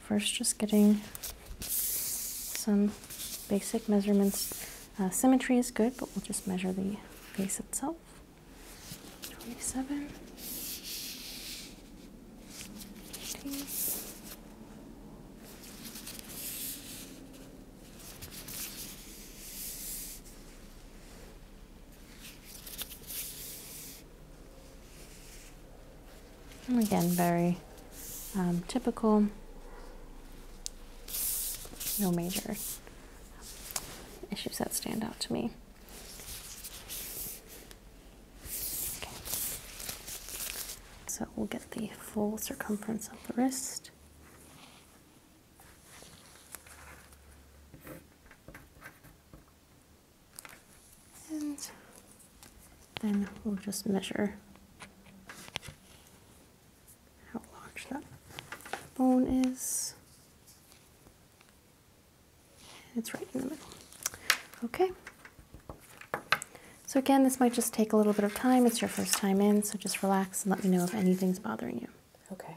First, just getting some basic measurements. Uh, symmetry is good, but we'll just measure the face itself. 27 again, very um, typical. No major issues that stand out to me. Okay. So we'll get the full circumference of the wrist. And then we'll just measure how large that bone is. It's right in the middle. Okay. So again, this might just take a little bit of time. It's your first time in, so just relax and let me know if anything's bothering you. Okay.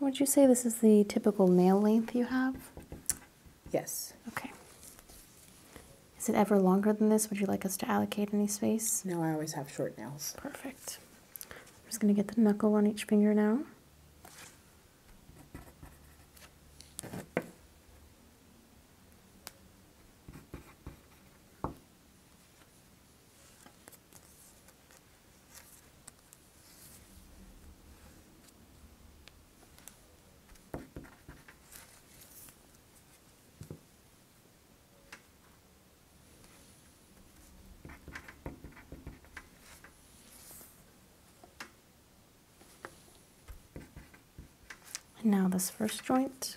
would you say this is the typical nail length you have? Yes. Okay. Is it ever longer than this? Would you like us to allocate any space? No, I always have short nails. Perfect. I'm just going to get the knuckle on each finger now. And now this first joint.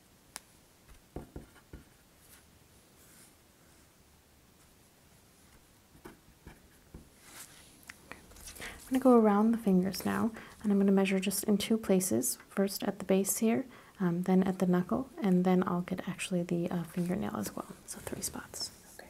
I'm going to go around the fingers now, and I'm going to measure just in two places. First at the base here, um, then at the knuckle, and then I'll get actually the uh, fingernail as well. So three spots. Okay.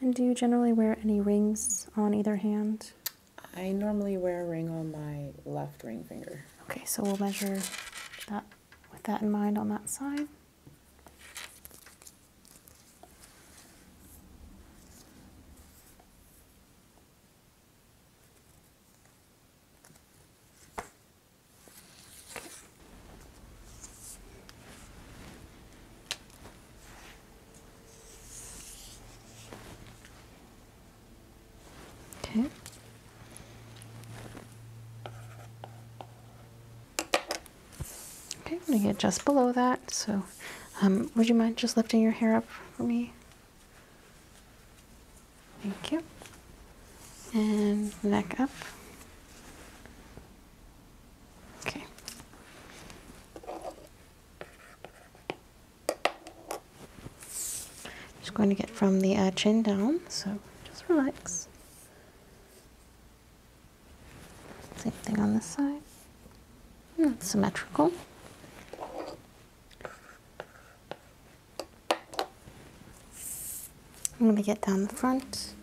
And do you generally wear any rings on either hand? I normally wear a ring on my left ring finger. Okay, so we'll measure that with that in mind on that side. Okay. Okay, I'm gonna get just below that. So, um, would you mind just lifting your hair up for me? Thank you. And neck up. Okay. Just going to get from the uh, chin down, so just relax. Same thing on this side. Not hmm, symmetrical. I'm going to get down the front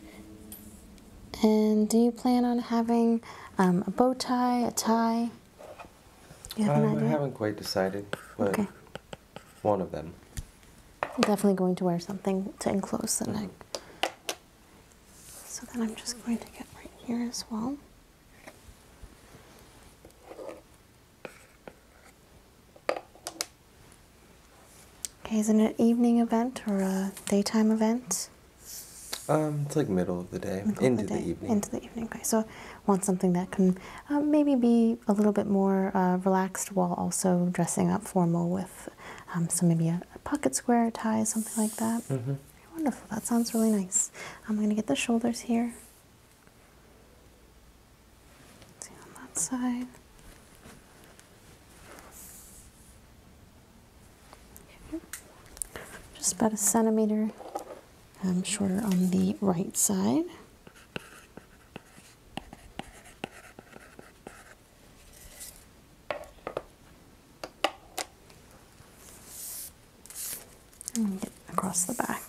and do you plan on having um, a bow tie, a tie? Um, I haven't quite decided, but one of them. definitely going to wear something to enclose the neck. Mm-hmm. So then I'm just going to get right here as well. Okay, is it an evening event or a daytime event? Um, it's like middle of the day, into the, evening. Into the evening. Okay, so want something that can uh, maybe be a little bit more uh, relaxed while also dressing up formal with um, so maybe a, pocket square tie, something like that. Mm-hmm. Wonderful. That sounds really nice. I'm going to get the shoulders here. see on that side. Just about a centimeter um, shorter on the right side. And across the back.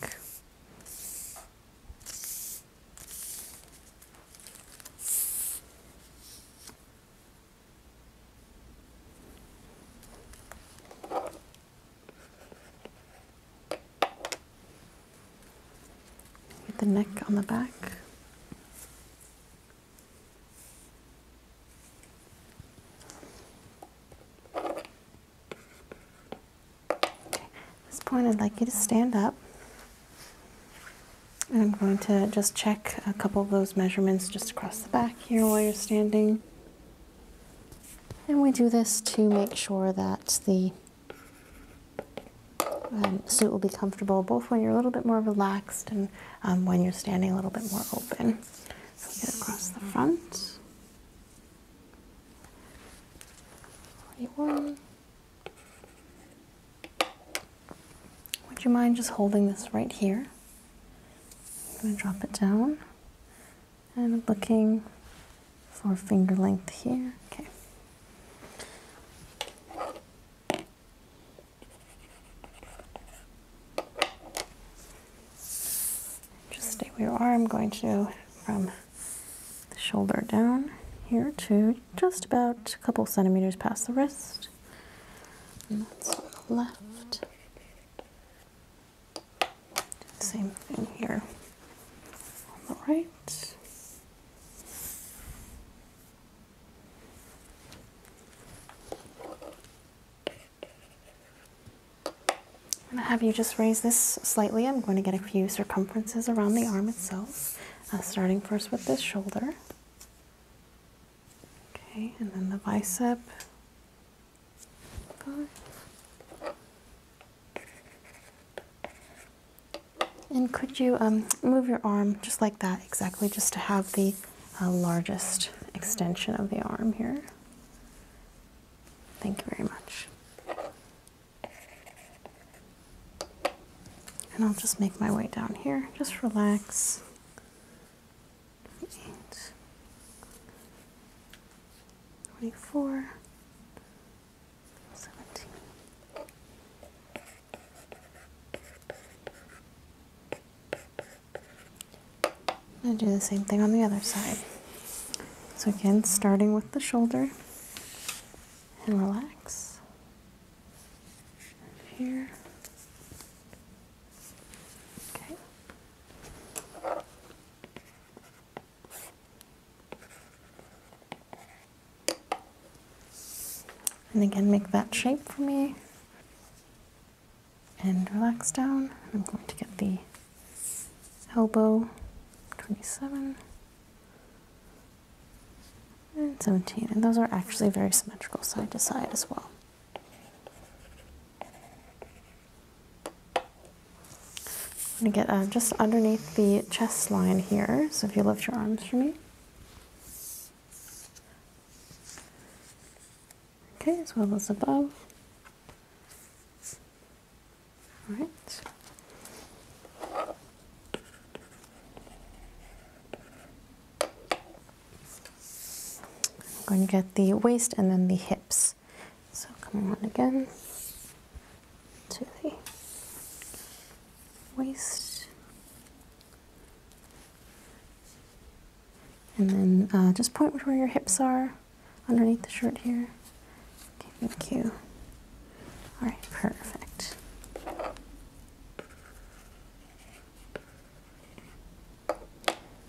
With the neck on the back. At this point, I'd like you to stand up. I'm going to just check a couple of those measurements just across the back here while you're standing. And we do this to make sure that the um, suit will be comfortable both when you're a little bit more relaxed and um, when you're standing a little bit more open. So get across the front. 41. Would you mind just holding this right here? I'm going to drop it down. And looking for finger length here. Okay. Just stay where you are. I'm going to from the shoulder down here to just about a couple centimeters past the wrist. And that's on the left. Same thing here on the right. I'm going to have you just raise this slightly. I'm going to get a few circumferences around the arm itself, uh, starting first with this shoulder. Okay, and then the bicep. And could you um, move your arm just like that, exactly, just to have the uh, largest extension of the arm here? Thank you very much. And I'll just make my way down here. Just relax. 28, 24, 17. i do the same thing on the other side. So again, starting with the shoulder and relax. Here and again, make that shape for me. And relax down. I'm going to get the elbow 27 and 17. And those are actually very symmetrical side to side as well. I'm going to get uh, just underneath the chest line here. So if you lift your arms for me. Okay, as well as above. All right. I'm going to get the waist and then the hips. So come on again to the waist. And then uh, just point where your hips are underneath the shirt here. Okay, thank you. All right, perfect.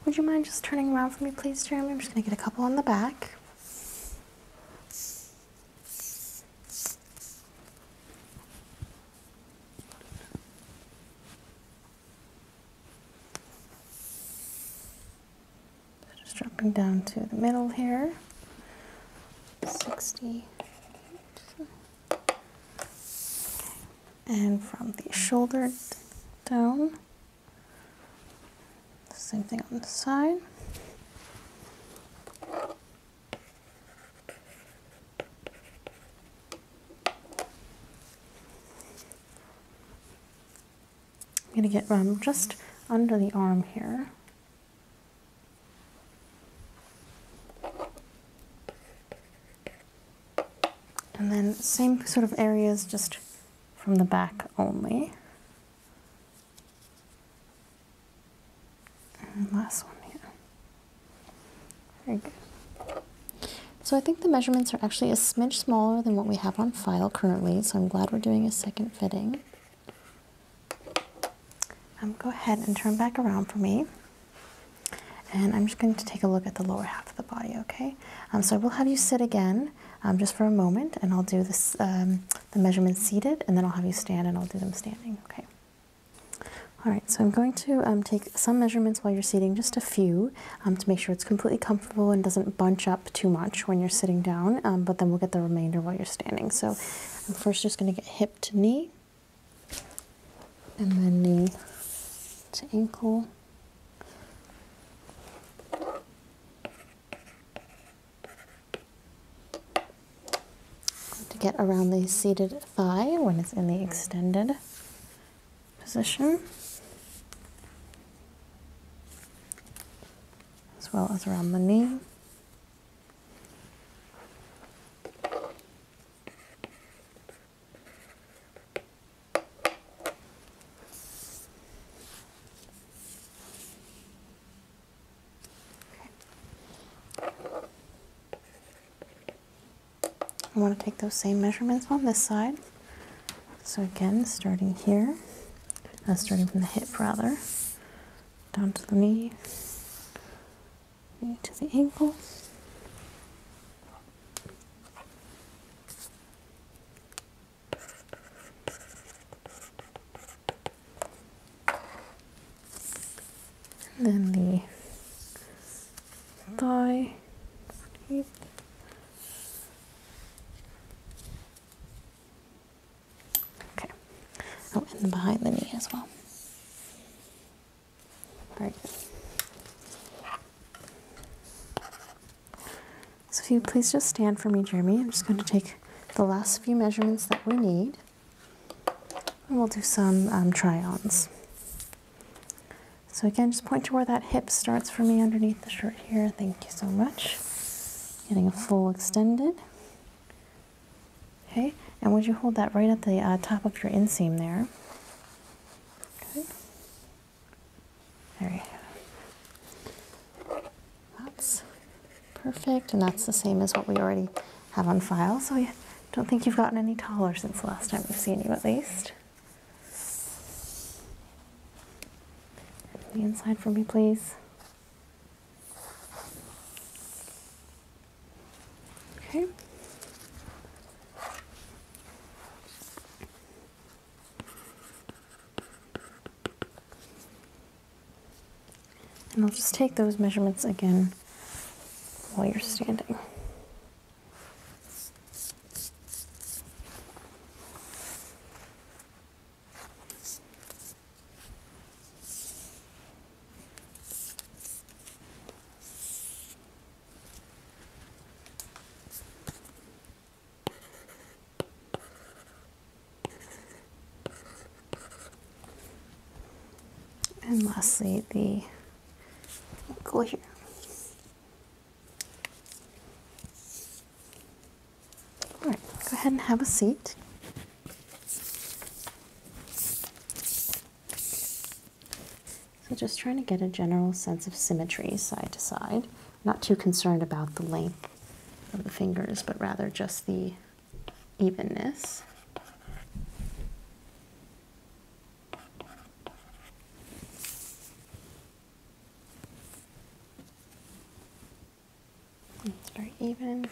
Would you mind just turning around for me, please, Jeremy? I'm just going to get a couple on the back. Just dropping down to the middle here. 60 and from the shoulder down same thing on the side I'm going to get um, just under the arm here and then same sort of areas just from the back only. last one here. Very good. So I think the measurements are actually a smidge smaller than what we have on file currently, so I'm glad we're doing a second fitting. Um, go ahead and turn back around for me. And I'm just going to take a look at the lower half of the body, okay? Um, so I will have you sit again um, just for a moment, and I'll do um, the measurements seated, and then I'll have you stand and I'll do them standing, okay? All right, so I'm going to take some measurements while you're seating, just a few, to make sure it's completely comfortable and doesn't bunch up too much when you're sitting down, but then we'll get the remainder while you're standing. So I'm first just going to get hip to knee, and then the ankle. To get around the seated thigh when it's in the extended position, as well as around the knee. I want to take those same measurements on this side. So again, starting here, uh, starting from the hip rather, down to the knee, knee to the ankle, and then the thigh. Okay. Oh, and behind the knee as well. All right. So if you please just stand for me, Jeremy. I'm just going to take the last few measurements that we need. And we'll do some um, try-ons. So again, just point to where that hip starts for me underneath the shirt here. Thank you so much. Getting a full extended. Okay, and would you hold that right at the uh, top of your inseam there? Good. There we have That's perfect, and that's the same as what we already have on file, so I don't think you've gotten any taller since the last time we've seen you, at least. The inside for me, please. Okay. And I'll just take those measurements again while you're standing. And lastly, the ankle here. All right, go ahead and have a seat. So just trying to get a general sense of symmetry side to side. Not too concerned about the length of the fingers, but rather just the evenness. It's very even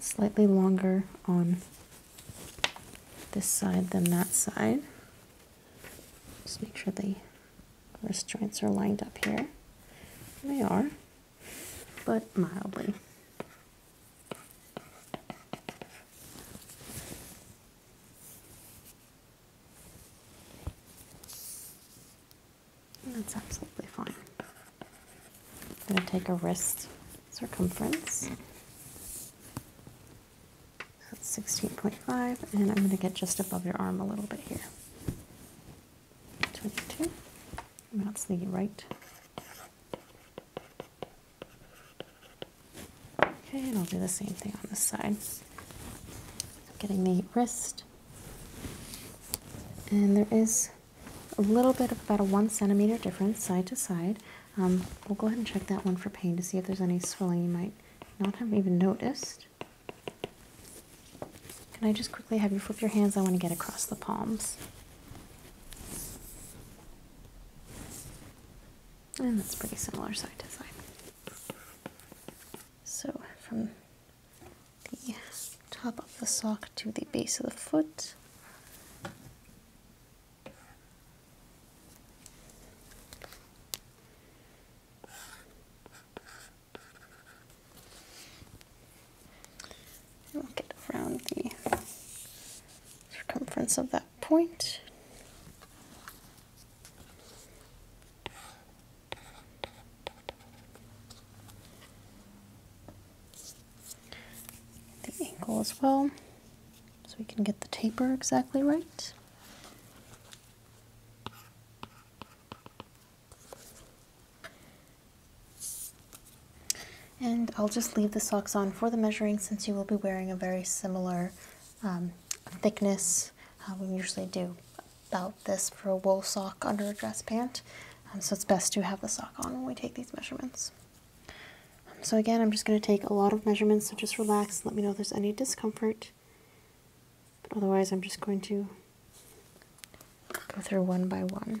slightly longer on this side than that side. Just make sure the wrist joints are lined up here. They are, but mildly that's absolutely fine. I'm going to take a wrist circumference. That's 16.5, and I'm going to get just above your arm a little bit here. 22. that's the right Okay, and I'll do the same thing on this side. Getting the wrist. And there is a little bit of about a one centimeter difference side to side. Um, we'll go ahead and check that one for pain to see if there's any swelling you might not have even noticed. Can I just quickly have you flip your hands? I want to get across the palms. And that's pretty similar side to side. So from the top of the sock to the base of the foot. we'll get around the circumference of that point. The ankle as well, so we can get the taper exactly right. And I'll just leave the socks on for the measuring since you will be wearing a very similar um, thickness. Uh, we usually do about this for a wool sock under a dress pant. Um, so it's best to have the sock on when we take these measurements. Um, so again, I'm just going to take a lot of measurements, so just relax let me know if there's any discomfort. But otherwise, I'm just going to go through one by one.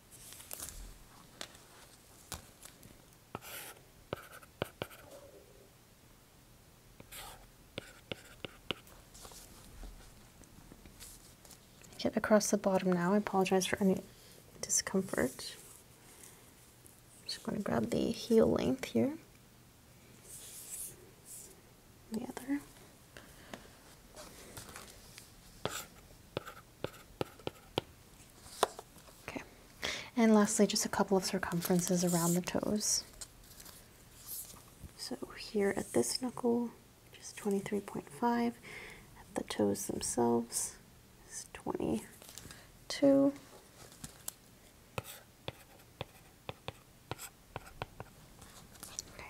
Get across the bottom now. I apologize for any discomfort. just going to grab the heel length here. The other. Okay, and lastly, just a couple of circumferences around the toes. So here at this knuckle, just 23.5. At the toes themselves, is 22. Okay,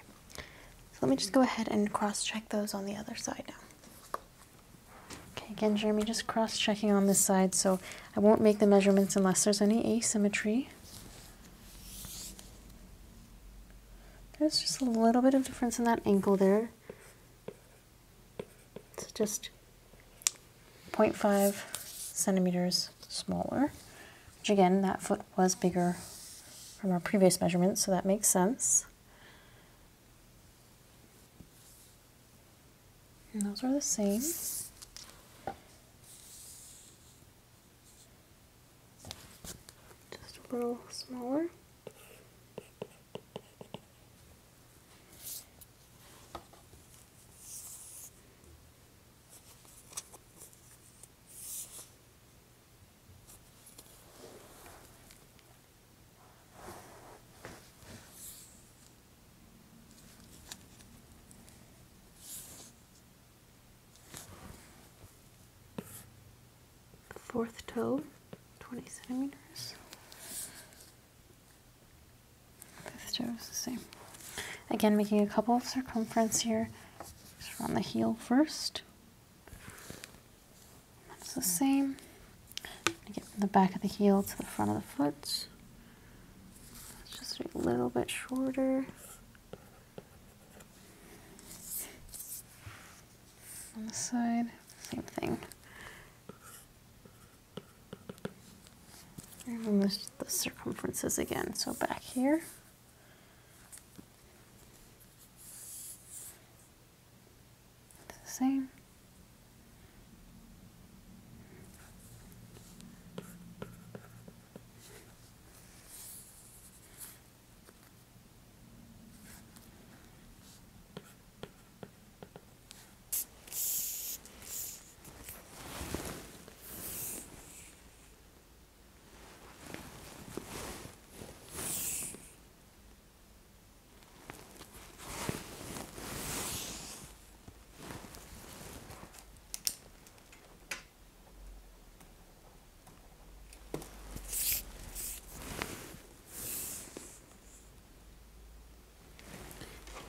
so let me just go ahead and cross check those on the other side now. Okay, again, Jeremy, just cross-checking on this side, so I won't make the measurements unless there's any asymmetry. There's just a little bit of difference in that ankle there. It's just 0.5 centimeters smaller, which again, that foot was bigger from our previous measurements, so that makes sense. And those are the same. Just a little smaller. Fourth toe, 20 centimeters. Fifth toe is the same. Again, making a couple of circumference here. around the heel first. That's the same. get from the back of the heel to the front of the foot. It's just a little bit shorter. On the side, same thing. Remove the circumferences again. So back here. It's the same.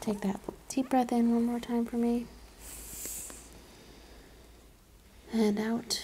Take that deep breath in one more time for me. And out.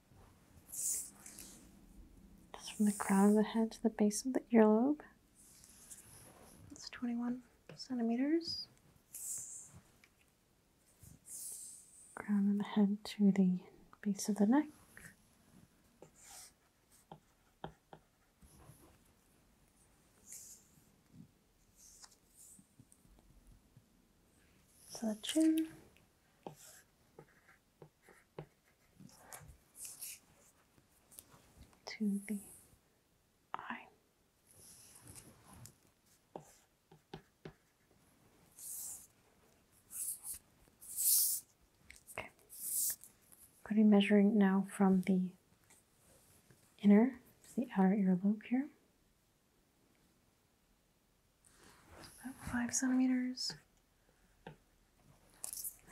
Just from the crown of the head to the base of the earlobe. That's 21 centimeters. Crown of the head to the base of the neck. So the chin to the eye. Okay. Going to be measuring now from the inner to the outer earlobe here about five centimeters. I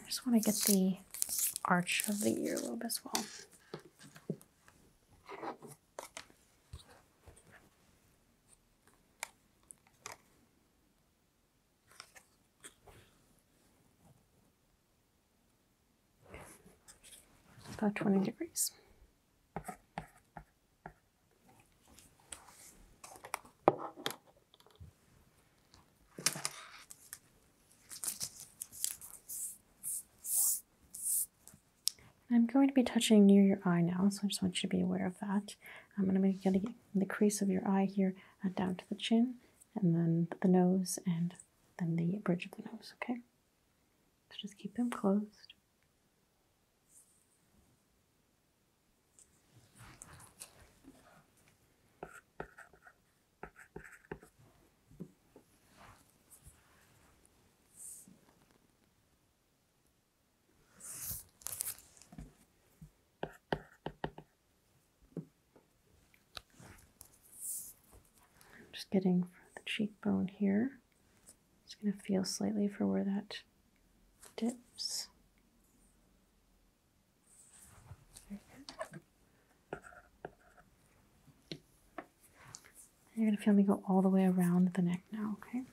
just want to get the arch of the earlobe as well. About 20 degrees. I'm going to be touching near your eye now, so I just want you to be aware of that. I'm going to be getting the crease of your eye here uh, down to the chin, and then the nose, and then the bridge of the nose, okay? So just keep them closed. Just getting the cheekbone here. Just going to feel slightly for where that dips. You're going to feel me go all the way around the neck now, okay?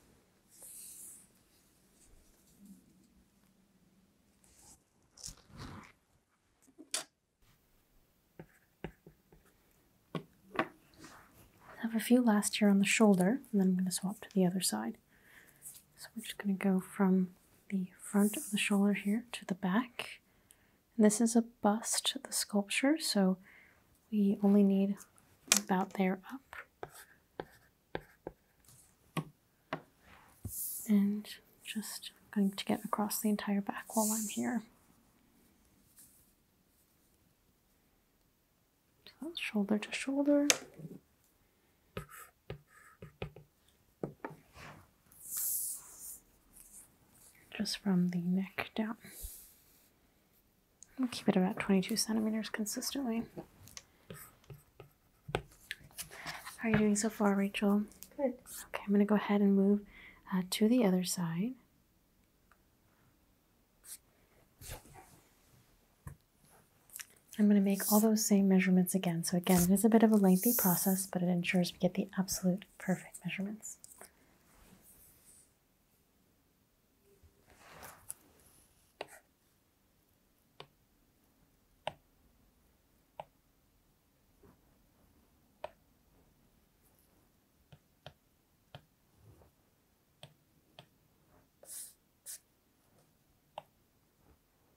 Have a few last here on the shoulder, and then I'm going to swap to the other side. So we're just going to go from the front of the shoulder here to the back. And this is a bust, the sculpture, so we only need about there up. And just going to get across the entire back while I'm here. So shoulder to shoulder. Just from the neck down. i keep it about 22 centimeters consistently. How are you doing so far, Rachel? Good. Okay, I'm going to go ahead and move uh, to the other side. I'm going to make all those same measurements again. So again, it is a bit of a lengthy process, but it ensures we get the absolute perfect measurements.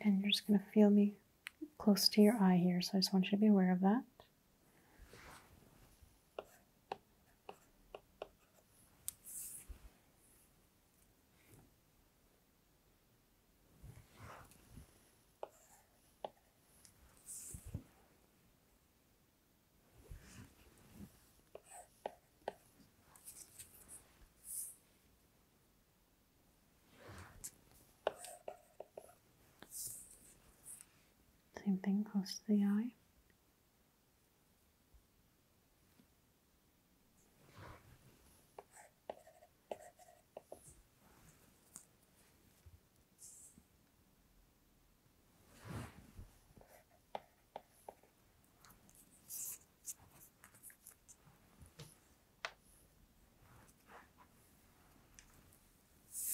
And you're just going to feel me close to your eye here, so I just want you to be aware of that. Same thing close to the eye.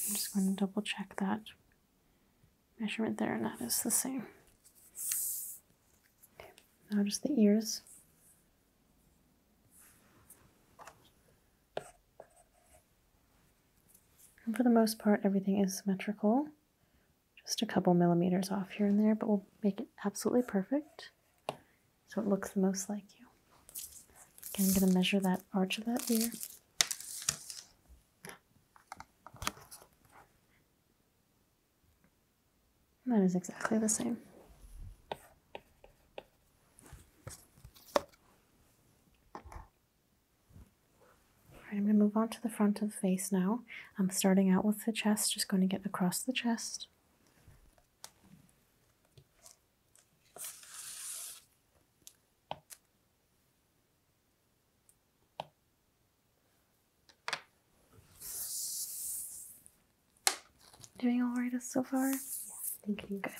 I'm just going to double check that measurement there and that is the same. Okay, now just the ears. for the most part, everything is symmetrical. Just a couple millimeters off here and there, but we'll make it absolutely perfect so it looks the most like you. Okay, I'm going to measure that arch of that ear. That is exactly the same. I'm going to move on to the front of the face now. I'm starting out with the chest, just going to get across the chest. Doing all right so far? Yeah, thank you. Good.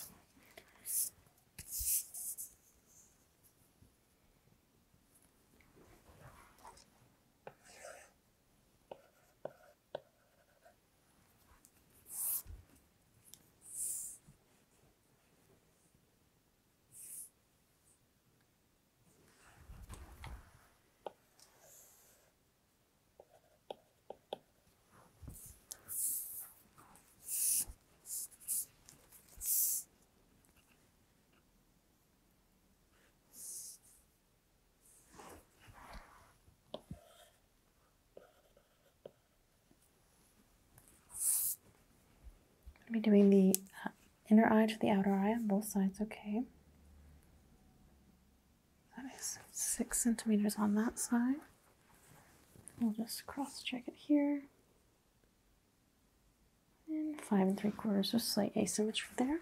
I'm be doing the inner eye to the outer eye on both sides, okay. That is six centimeters on that side. We'll just cross check it here. And five and three quarters, so slight asymmetry there.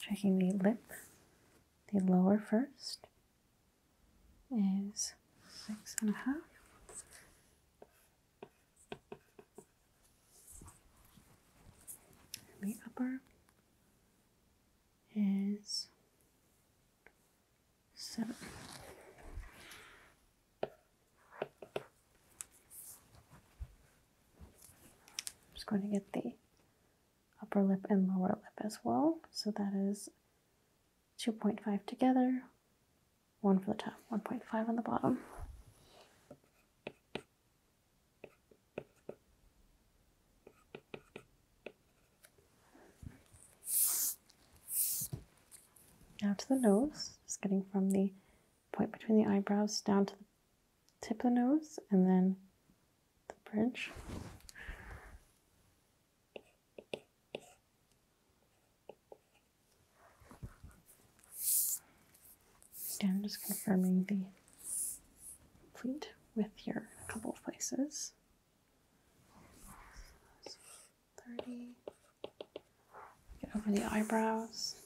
Checking the lip the lower first is six and a half. And the upper is seven. I'm just going to get the upper lip and lower lip as well. So that is 2.5 together, one for the top, 1.5 on the bottom. Now to the nose, just getting from the point between the eyebrows down to the tip of the nose and then the bridge. And just confirming the complete width here couple of places. Get over the eyebrows.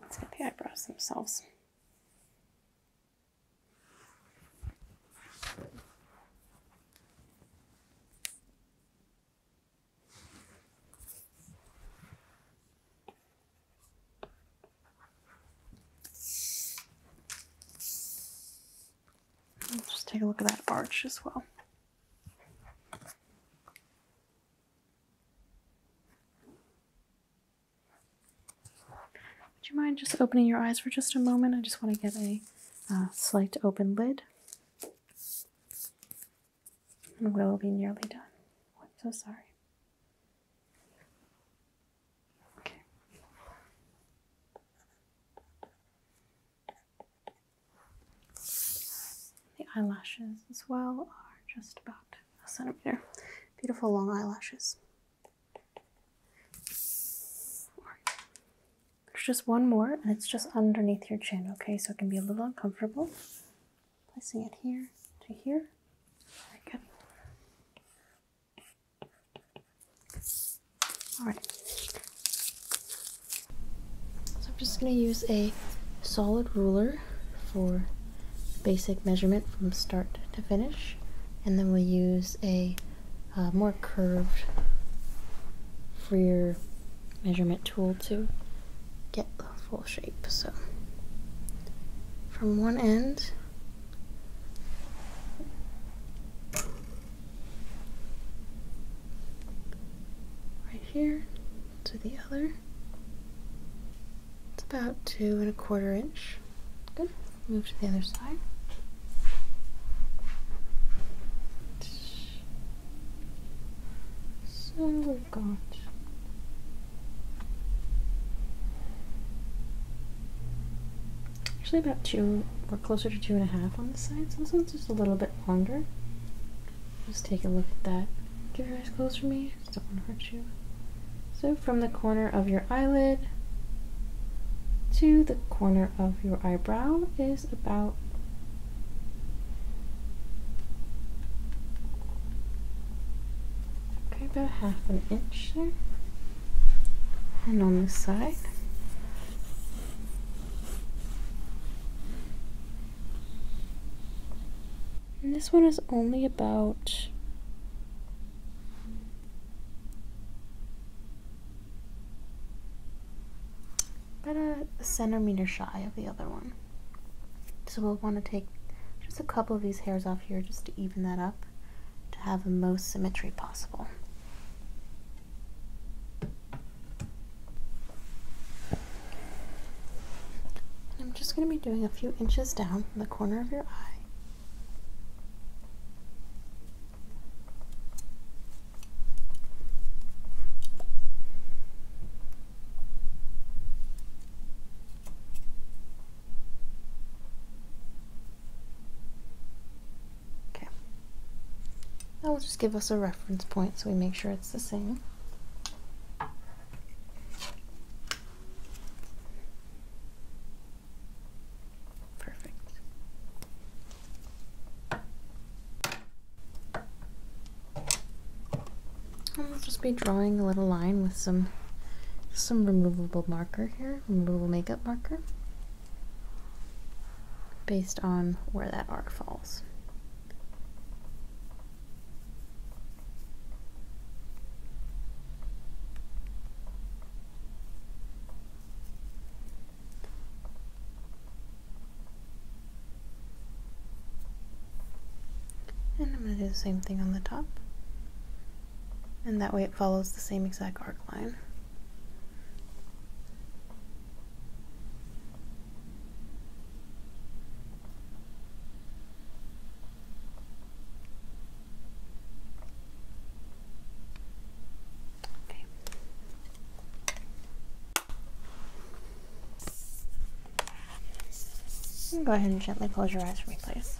Let's get the eyebrows themselves. Let's just take a look at that arch as well. Would you mind just opening your eyes for just a moment? I just want to get a uh, slight open lid. And we'll be nearly done. I'm so sorry. The eyelashes as well are just about a centimeter. Beautiful long eyelashes. There's just one more, and it's just underneath your chin, okay? So it can be a little uncomfortable. Placing it here to here. good. All right. So I'm just going to use a solid ruler for basic measurement from start to finish and then we'll use a uh, more curved freer measurement tool to get the full shape so from one end right here to the other. It's about two and a quarter inch. Good. Move to the other side. So we've got actually about two, we're closer to two and a half on this side, so this one's just a little bit longer. Let's take a look at that. Give your eyes closed for me, don't want to hurt you. So from the corner of your eyelid to the corner of your eyebrow is about okay, about half an inch there. And on this side. And this one is only about about a centimeter shy of the other one. So we'll want to take just a couple of these hairs off here just to even that up to have the most symmetry possible. And I'm just going to be doing a few inches down from the corner of your eye. That will just give us a reference point so we make sure it's the same. Perfect. I'll just be drawing a little line with some some removable marker here, removable makeup marker, based on where that arc falls. And I'm going to do the same thing on the top. And that way it follows the same exact arc line. Go ahead and gently close your eyes for me, please.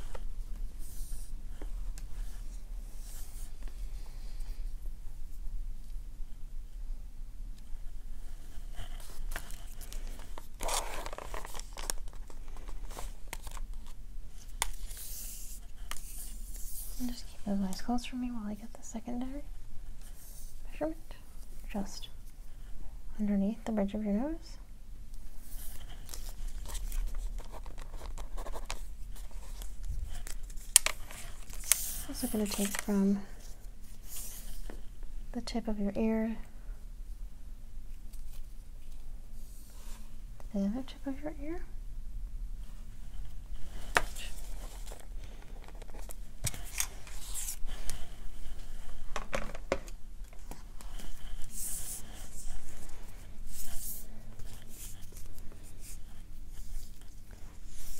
Just keep those eyes closed for me while I get the secondary measurement. Just underneath the bridge of your nose. Also going to take from the tip of your ear, the other tip of your ear.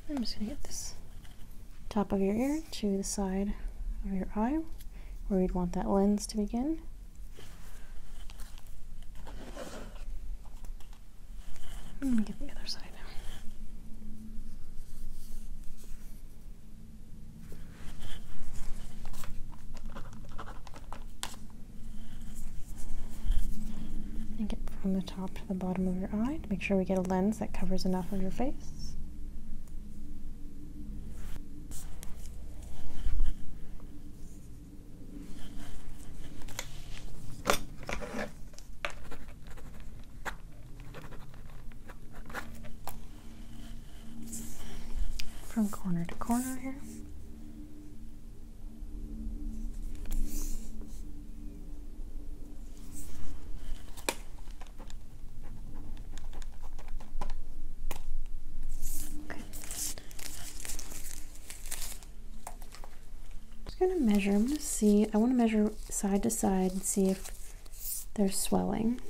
I'm just going to get this top of your ear to the side of your eye where you'd want that lens to begin. Let me get the other side. And get from the top to the bottom of your eye to make sure we get a lens that covers enough of your face. From corner to corner here. I'm just gonna measure. I'm gonna see. I want to measure side to side and see if they're swelling.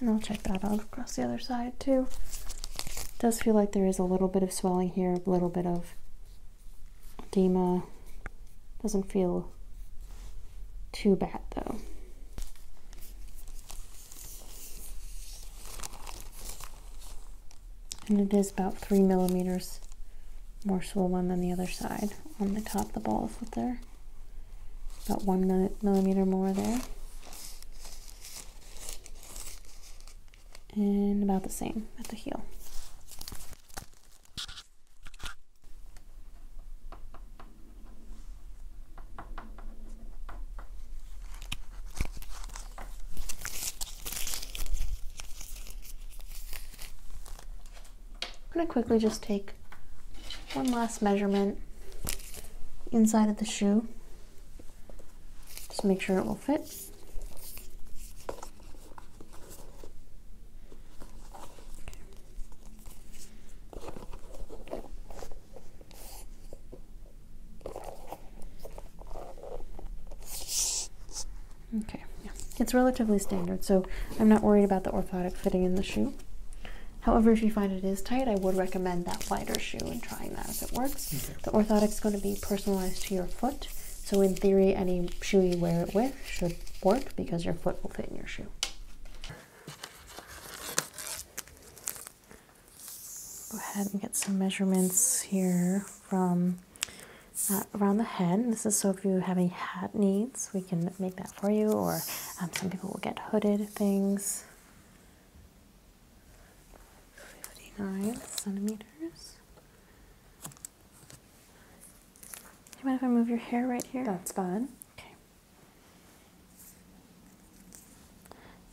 And I'll check that out across the other side too. does feel like there is a little bit of swelling here, a little bit of edema. Doesn't feel too bad though. And it is about three millimeters more swole one than the other side on the top of the balls up there. About one millimeter more there. And about the same at the heel. I'm going to quickly just take one last measurement inside of the shoe. Just make sure it will fit. Okay, yeah. It's relatively standard, so I'm not worried about the orthotic fitting in the shoe. However, if you find it is tight, I would recommend that wider shoe and trying that if it works. The orthotic is going to be personalized to your foot, so in theory, any shoe you wear it with should work because your foot will fit in your shoe. Go ahead and get some measurements here from uh, around the head. This is so if you have any hat needs, we can make that for you, or um, some people will get hooded things. 59 centimeters. you mind if I move your hair right here? That's fine. Okay.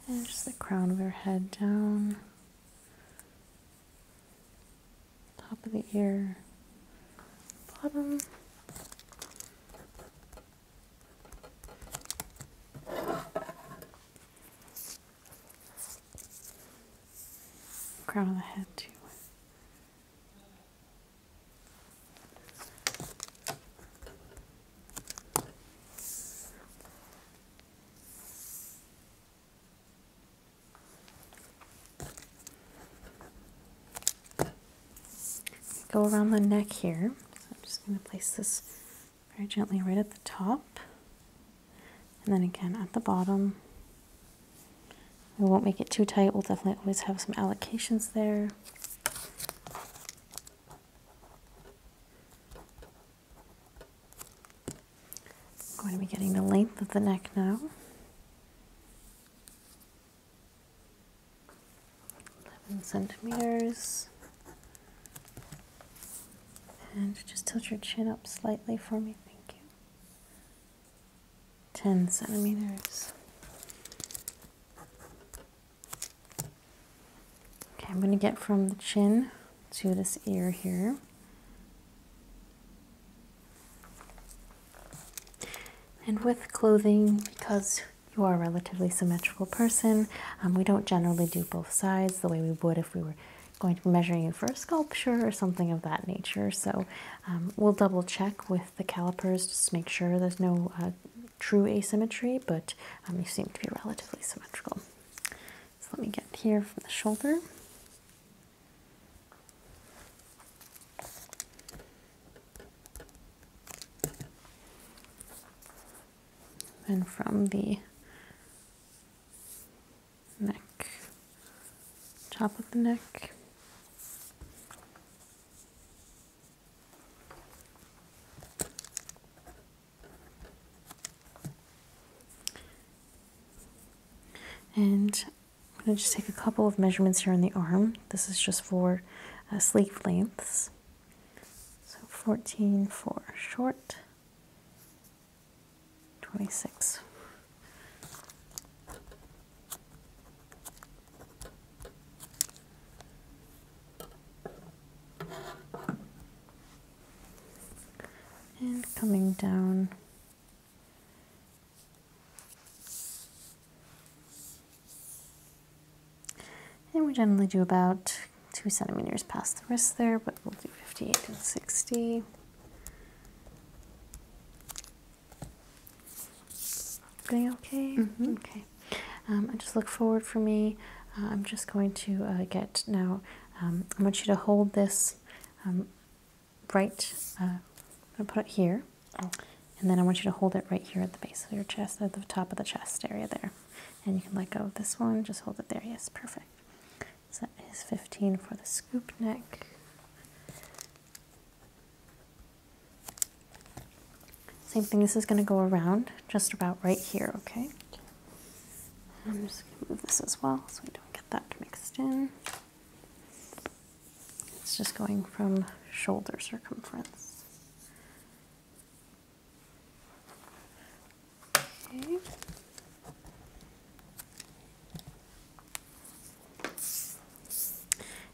And just the crown of her head down, top of the ear, bottom. Crown of the head too. Go around the neck here. I'm just going to place this very gently right at the top and then again at the bottom. We won't make it too tight, we'll definitely always have some allocations there. I'm going to be getting the length of the neck now. Eleven centimeters. And just tilt your chin up slightly for me, thank you. Ten centimeters. Okay, I'm going to get from the chin to this ear here. And with clothing, because you are a relatively symmetrical person, um, we don't generally do both sides the way we would if we were going to be measuring you for a sculpture or something of that nature. So um, we'll double check with the calipers, just make sure there's no uh, true asymmetry, but um, you seem to be relatively symmetrical. So let me get here from the shoulder. And from the neck, top of the neck. And I'm going to just take a couple of measurements here on the arm. This is just for uh, sleeve lengths. So 14 for short, 26 and coming down and we generally do about two centimeters past the wrist there but we'll do 58 and 60 Doing okay? Mm-hmm. Okay. Um, just look forward for me. Uh, I'm just going to uh, get now, um, I want you to hold this um, right, uh, I'm going to put it here. Oh. And then I want you to hold it right here at the base of your chest, at the top of the chest area there. And you can let go of this one, just hold it there. Yes, perfect. So that is 15 for the scoop neck. Same thing, this is going to go around just about right here, okay? I'm just going to move this as well so we don't get that mixed in. It's just going from shoulder circumference. Okay.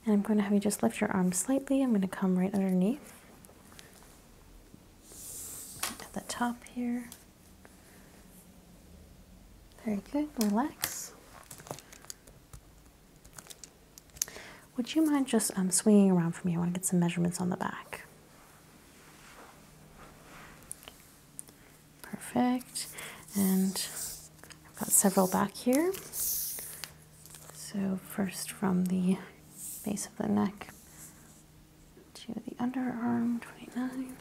And I'm going to have you just lift your arm slightly. I'm going to come right underneath at the top here. Very good, relax. Would you mind just um, swinging around for me? I want to get some measurements on the back. Perfect. And I've got several back here. So first from the base of the neck to the underarm, 29.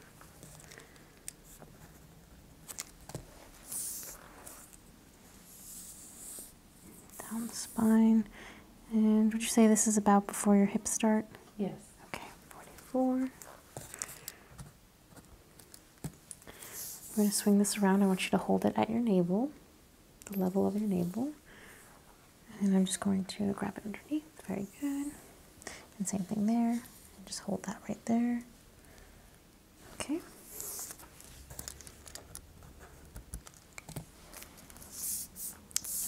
Down the spine. And would you say this is about before your hips start? Yes. Okay, 44. i am going to swing this around. I want you to hold it at your navel the level of your navel. And I'm just going to grab it underneath. Very good. And same thing there. And just hold that right there. Okay.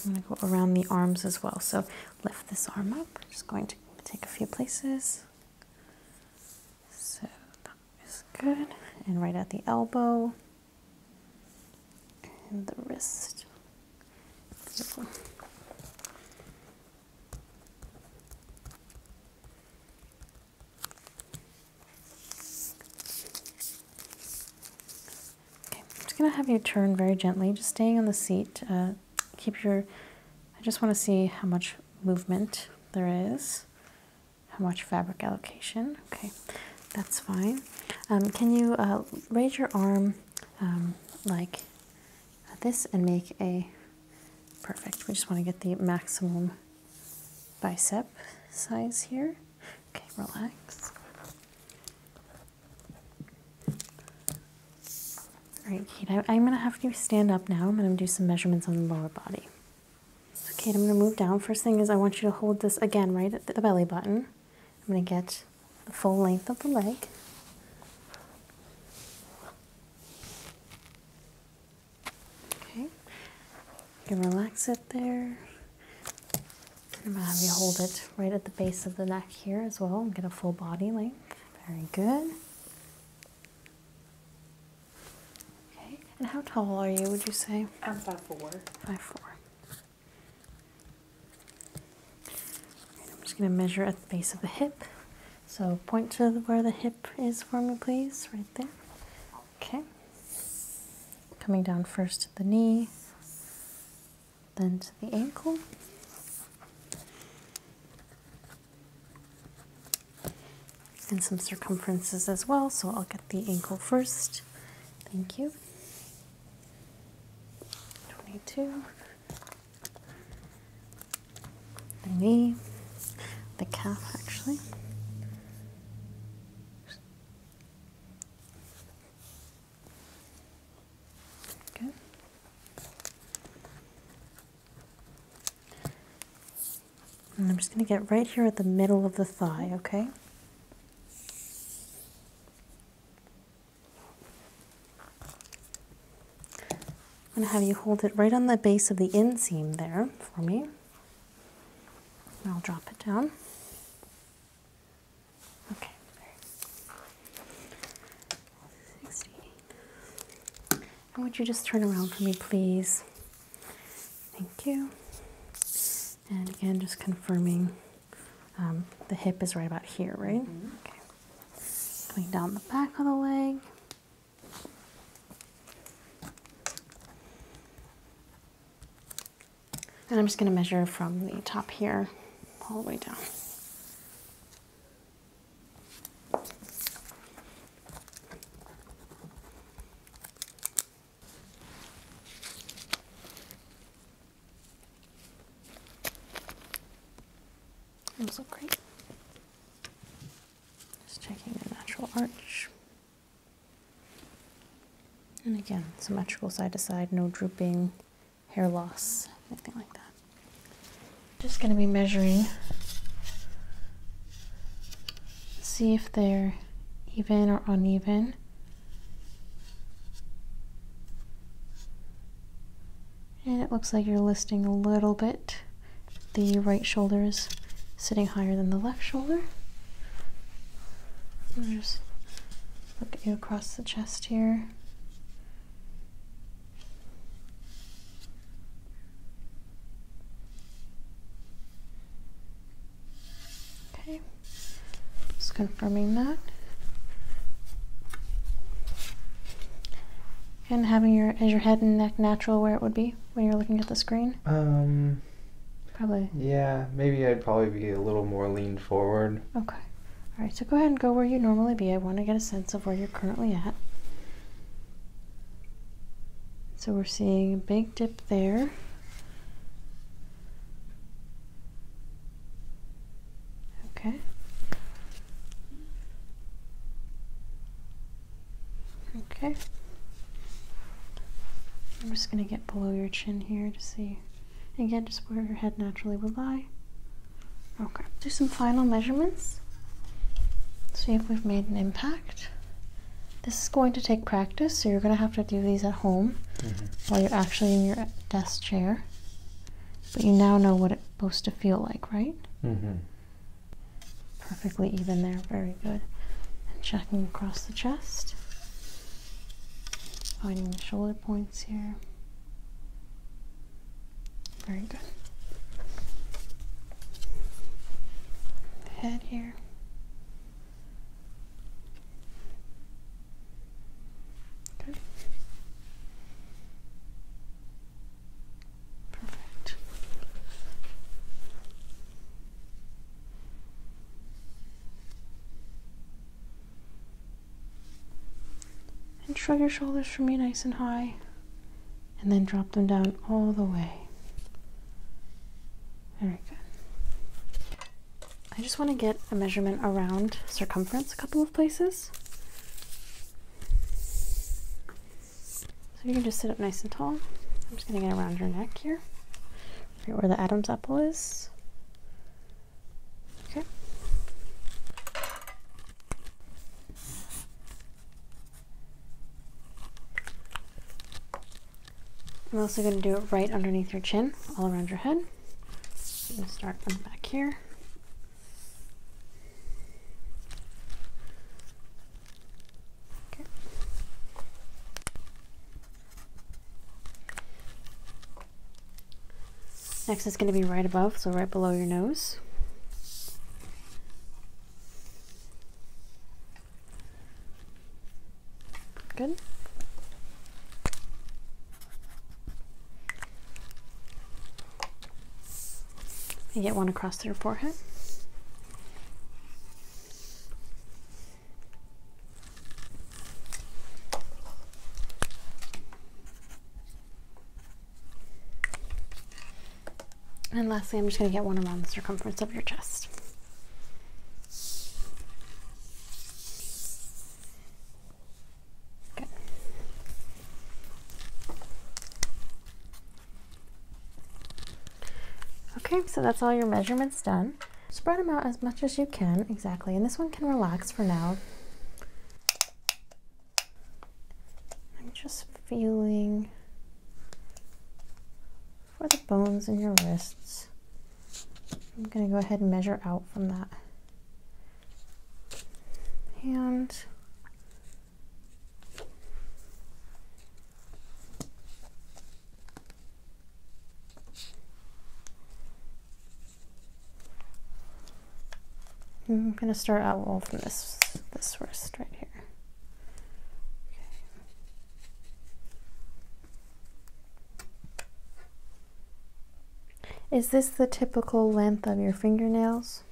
I'm going to go around the arms as well. So lift this arm up. just going to take a few places. So that is good. And right at the elbow and the wrist. Okay, I'm just gonna have you turn very gently, just staying on the seat. Uh, keep your. I just want to see how much movement there is, how much fabric allocation. Okay, that's fine. Um, can you uh, raise your arm um, like this and make a perfect? We just want to get the maximum bicep size here. Okay, relax. All right, Kate, I, am going to have you stand up now. I'm going to do some measurements on the lower body. Okay, I'm going to move down. First thing is I want you to hold this again right at the belly button. I'm going to get the full length of the leg. Okay, you relax it there. I'm going to have you hold it right at the base of the neck here as well and get a full body length. Very good. Okay, and how tall are you, would you say? I'm Five, 5'4. Five, I'm just going to measure at the base of the hip. So point to where the hip is for me, please, right there. Okay. Coming down first to the knee, then to the ankle. And some circumferences as well, so I'll get the ankle first. Thank you. 22, the knee, the calf actually. Good. And I'm just going to get right here at the middle of the thigh, okay? I'm going to have you hold it right on the base of the inseam there for me. I'll drop it down. Okay. 16. And would you just turn around for me, please? Thank you and again, just confirming um, the hip is right about here, right? Mm-hmm. Okay. Going down the back of the leg. And I'm just going to measure from the top here all the way down. Those look great. Just checking the natural arch. And again, symmetrical side to side, no drooping, hair loss, anything like that. Just going to be measuring, see if they're even or uneven. And it looks like you're listing a little bit. The right shoulder is sitting higher than the left shoulder. I'll look at you across the chest here. Okay, just confirming that. And having your is your head and neck natural where it would be when you're looking at the screen? Um probably. Yeah, maybe I'd probably be a little more leaned forward. Okay. All right, so go ahead and go where you normally be. I want to get a sense of where you're currently at. So we're seeing a big dip there. Okay. Okay. I'm just going to get below your chin here to see. Again, just where your head naturally would lie. Okay. Do some final measurements. See if we've made an impact. This is going to take practice, so you're going to have to do these at home mm-hmm. while you're actually in your desk chair, but you now know what it's supposed to feel like, right? Mm-hmm. Perfectly even there, very good. And checking across the chest, finding the shoulder points here. Very good. Head here. Perfect. And shrug your shoulders for me nice and high, and then drop them down all the way. Very good. I just want to get a measurement around circumference a couple of places. So you can just sit up nice and tall. I'm just going to get around your neck here, right where the Adam's apple is. Okay. I'm also going to do it right underneath your chin, all around your head we'll start from back here. Okay. Next is going to be right above, so right below your nose. Good. And get one across their forehead. And lastly, I'm just going to get one around the circumference of your chest. Okay. Okay, so that's all your measurements done. Spread them out as much as you can, exactly. And this one can relax for now. I'm just feeling for the bones in your wrists. I'm going to go ahead and measure out from that and I'm going to start out well from this this wrist right here. Is this the typical length of your fingernails?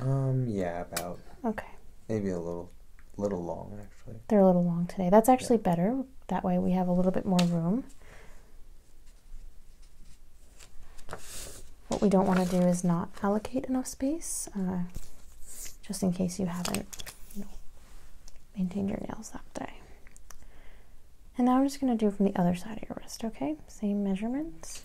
Um, yeah, about. Okay. Maybe a little little long actually. They're a little long today. That's actually better. That way we have a little bit more room. What we don't want to do is not allocate enough space, uh, just in case you haven't maintained your nails that day. And now I'm just going to do from the other side of your wrist, okay? Same measurements.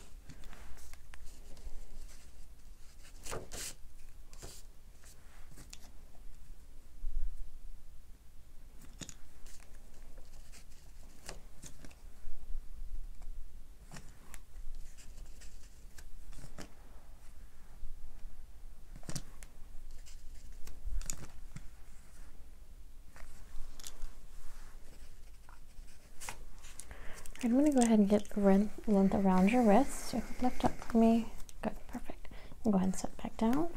I'm going to go ahead and get length around your wrist. You hook left up for me. Good, perfect. Go ahead and sit back down.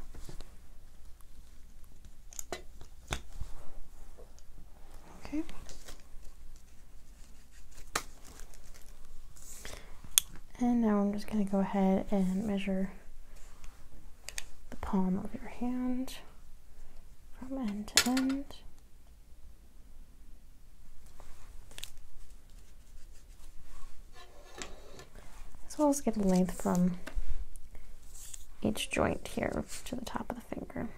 Okay. And now I'm just going to go ahead and measure the palm of your hand from end to end. As well as get a length from each joint here to the top of the finger.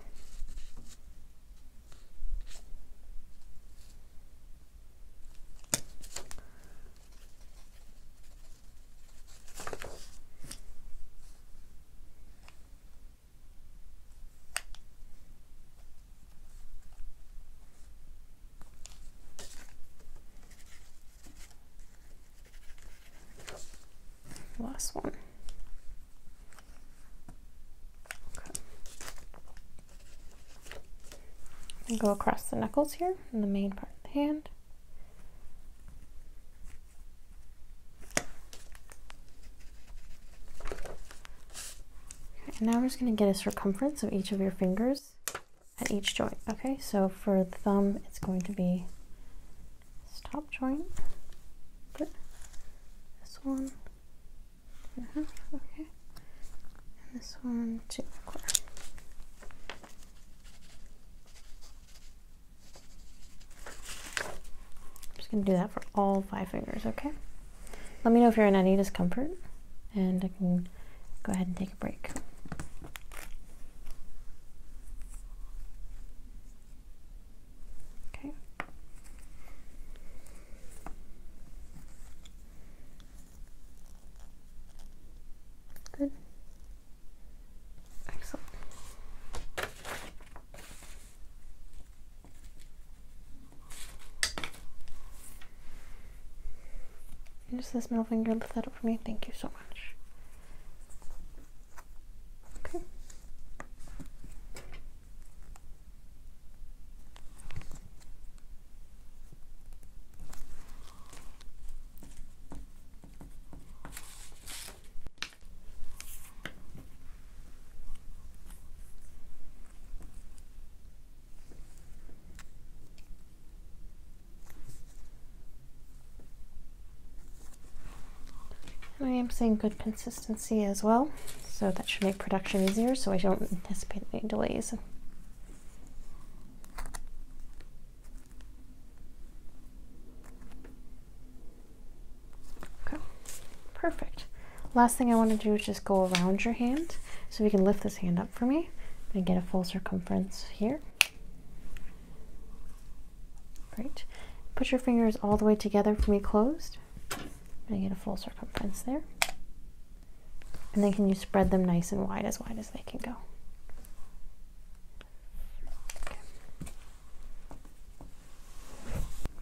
Last one. Okay. And go across the knuckles here in the main part of the hand. And now we're just going to get a circumference of each of your fingers at each joint. Okay, so for the thumb, it's going to be this top joint, this one, uh-huh, okay, and this one, too. I'm just going to do that for all five fingers, okay? Let me know if you're in any discomfort, and I can go ahead and take a break. Okay. Good. Excellent. And this middle finger, lift that up for me. Thank you so much. Okay. I am seeing good consistency as well, so that should make production easier so I don't anticipate any delays. Okay, perfect. Last thing I want to do is just go around your hand. So we can lift this hand up for me and get a full circumference here. Great. Put your fingers all the way together for me closed. And get a full circumference there. And then can you spread them nice and wide, as wide as they can go?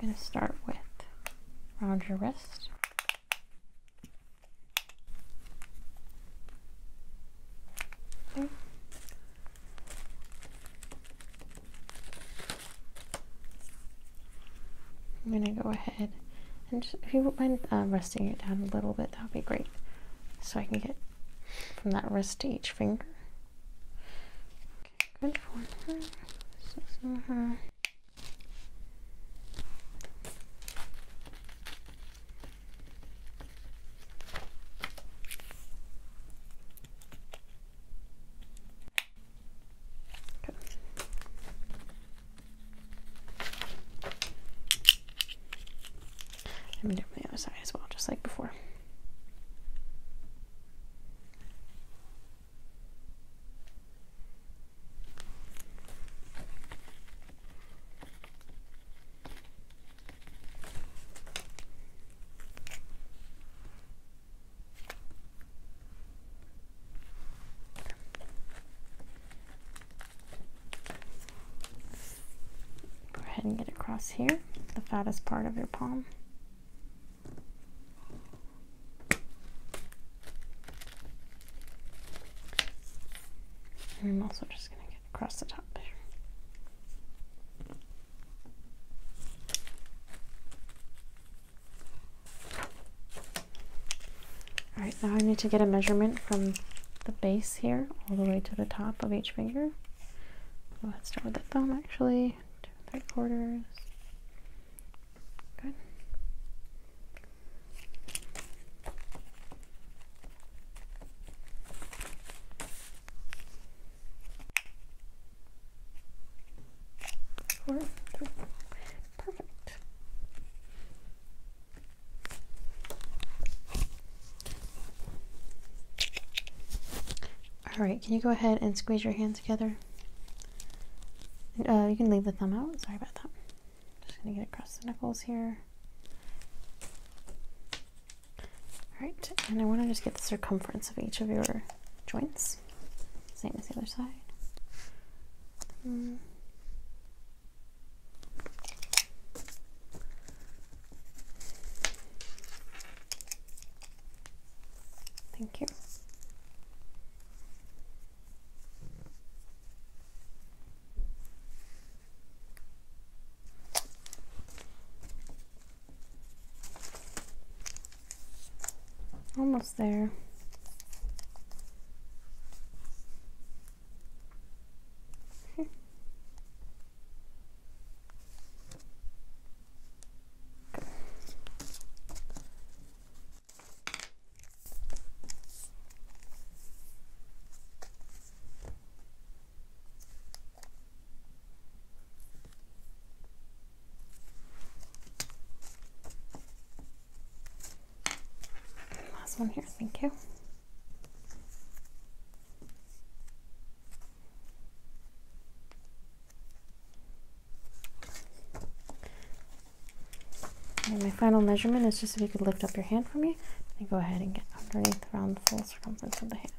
I'm going to start with around your wrist. I'm going to go ahead and if you wouldn't mind uh, resting it down a little bit, that would be great. So I can get from that wrist to each finger. Okay, good for her. So, uh-huh. Let me do it from the other side as well, just like before. Go ahead and get across here, the fattest part of your palm. I'm also just going to get across the top there. Alright, now I need to get a measurement from the base here all the way to the top of each finger. Oh, let's start with the thumb actually. Two and three quarters. Good. Four, three. Perfect. All right, can you go ahead and squeeze your hands together? Uh, you can leave the thumb out. Sorry about that. Just gonna get across the knuckles here. All right, and I want to just get the circumference of each of your joints. Same as the other side. Hmm. Thank you. Almost there. Last one here, thank you my final measurement is just if you could lift up your hand for me and go ahead and get underneath around the full circumference of the hand.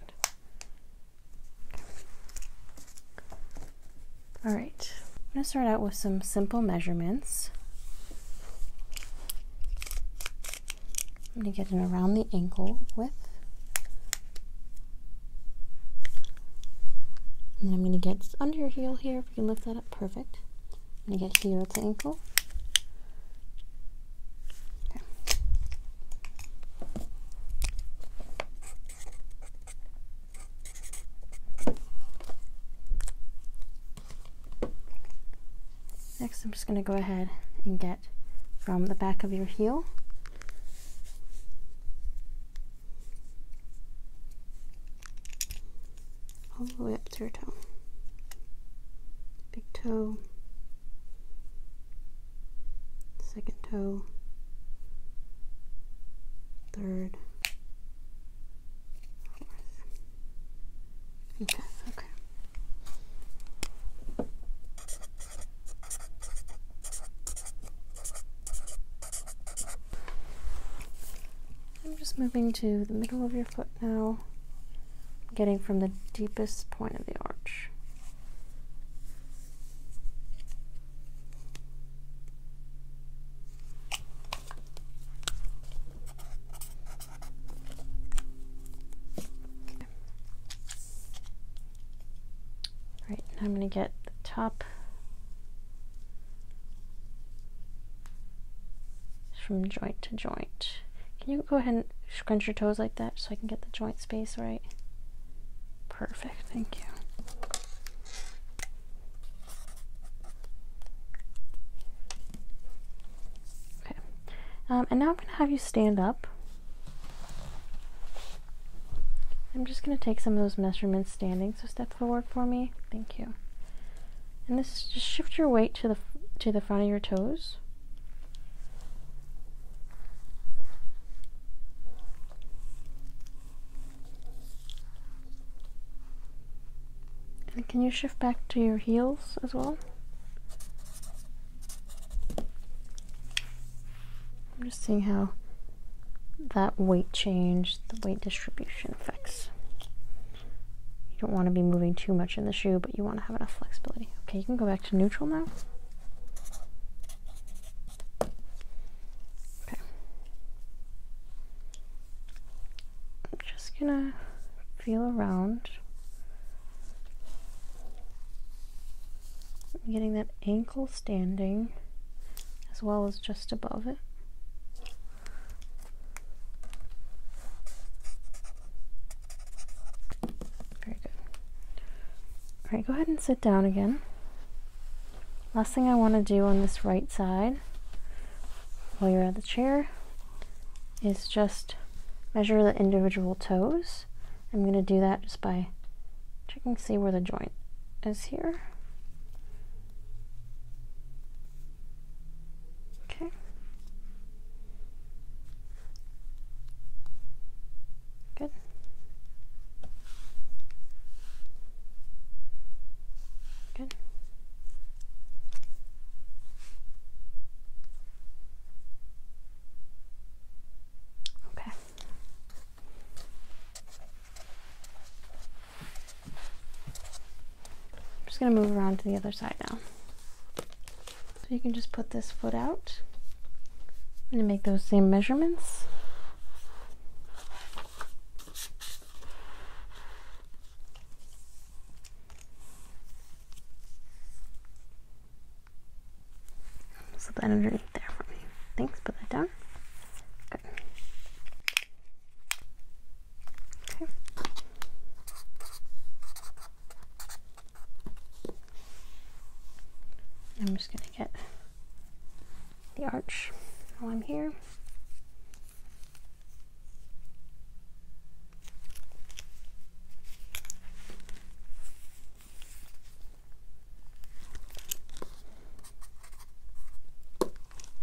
All right, I'm gonna start out with some simple measurements. I'm going to get it around the ankle width. And I'm going to get under your heel here. If you can lift that up, perfect. I'm going to get heel to ankle. Okay. Next, I'm just going to go ahead and get from the back of your heel. All the way up to your toe. Big toe, second toe, third, fourth. okay. I'm just moving to the middle of your foot now, getting from the deepest point of the arch. Right, I'm going to get the top from joint to joint. Can you go ahead and scrunch your toes like that so I can get the joint space right? Perfect, thank you. Okay, um, and now I'm going to have you stand up. I'm just going to take some of those measurements standing, so step forward for me. Thank you. And this just shift your weight to the to the front of your toes. And can you shift back to your heels as well? I'm just seeing how that weight change, the weight distribution affects. You don't want to be moving too much in the shoe, but you want to have enough flexibility. Okay, you can go back to neutral now. Okay. I'm just gonna feel around getting that ankle standing as well as just above it. Very good. All right, go ahead and sit down again. Last thing I want to do on this right side while you're at the chair is just measure the individual toes. I'm going to do that just by checking see where the joint is here. Okay. Good. Good. Okay. I'm just going to move around to the other side now. So you can just put this foot out. I'm going to make those same measurements. Slip that underneath there for me. Thanks, put that down. Good. Okay. I'm just going to get the arch while I'm here.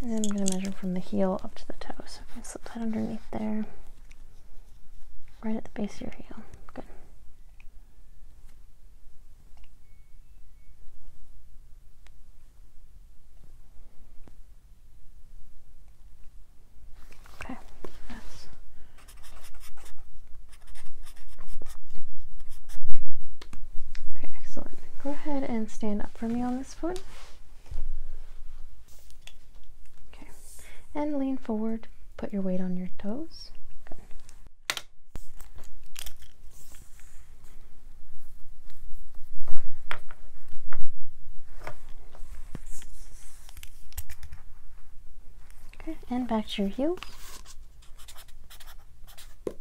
And then I'm going to measure from the heel up to the toe. So if I slip that underneath there, right at the base of your heel. Good. Okay, that's excellent. Go ahead and stand up for me on this foot. Okay, and lean forward. Put your weight on your toes. Okay, and back to your heel. Okay.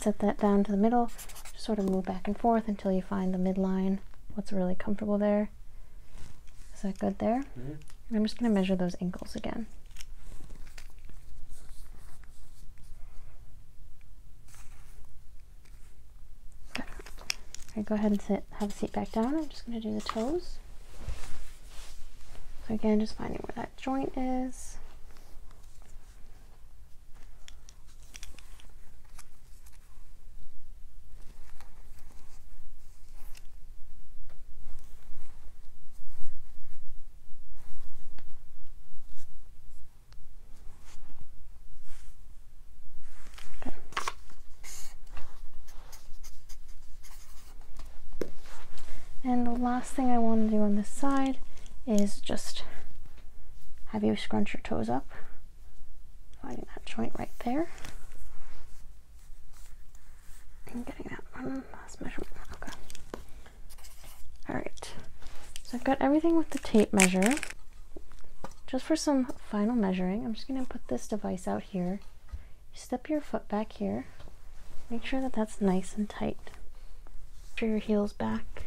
set that down to the middle. Just sort of move back and forth until you find the midline, what's really comfortable there. Is that good there? Mm-hmm. I'm just going to measure those ankles again. Okay. go ahead and sit, have a seat back down. I'm just going to do the toes. So again, just finding where that joint is. And the last thing I want to do on this side is just have you scrunch your toes up, finding that joint right there. i getting that one last measurement. Okay. All right, so I've got everything with the tape measure. Just for some final measuring, I'm just gonna put this device out here. Step your foot back here. Make sure that that's nice and tight. Put your heels back.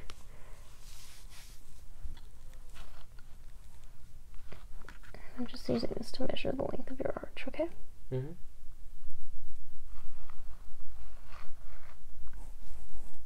I'm just using this to measure the length of your arch, okay? -hmm.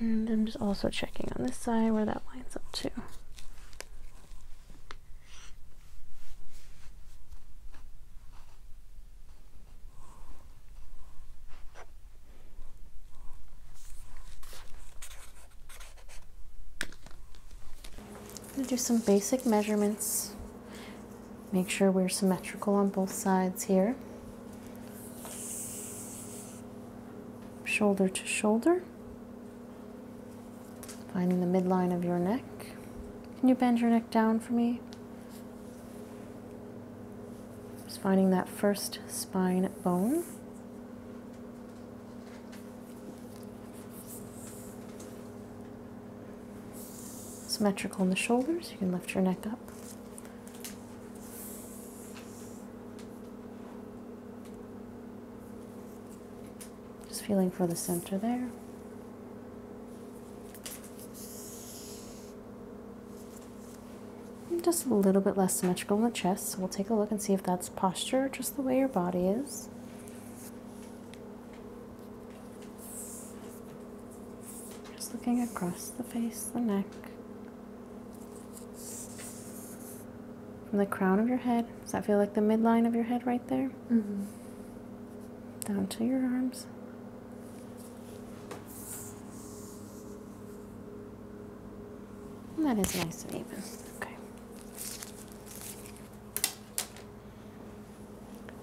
And I'm just also checking on this side where that lines up to. do some basic measurements. Make sure we're symmetrical on both sides here shoulder to shoulder. Finding the midline of your neck. Can you bend your neck down for me? Just finding that first spine bone. Symmetrical in the shoulders, you can lift your neck up. Just feeling for the center there. just a little bit less symmetrical in the chest, so we'll take a look and see if that's posture, just the way your body is. Just looking across the face, the neck, from the crown of your head. Does that feel like the midline of your head right there? Mm-hmm. Down to your arms. that is nice and even. Okay.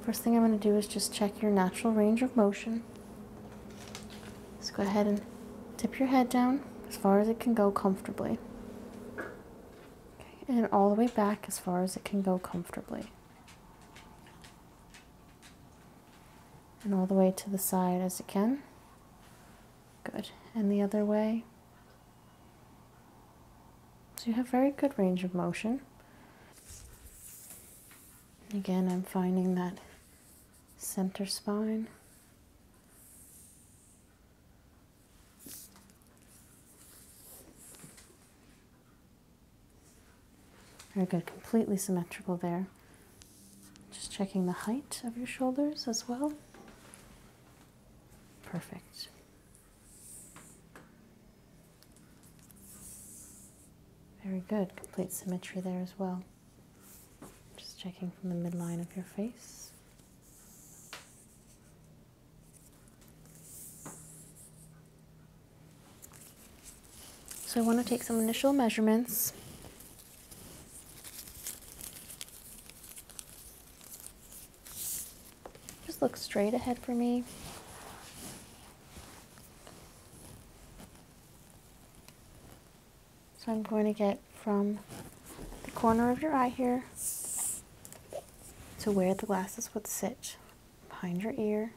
First thing I'm going to do is just check your natural range of motion. Just go ahead and tip your head down as far as it can go comfortably. and all the way back as far as it can go comfortably. And all the way to the side as it can. Good. And the other way. So you have very good range of motion. Again, I'm finding that center spine. Very good, completely symmetrical there. Just checking the height of your shoulders as well. Perfect. Very good, complete symmetry there as well. Just checking from the midline of your face. So I want to take some initial measurements. Just look straight ahead for me. So I'm going to get from the corner of your eye here to where the glasses would sit behind your ear.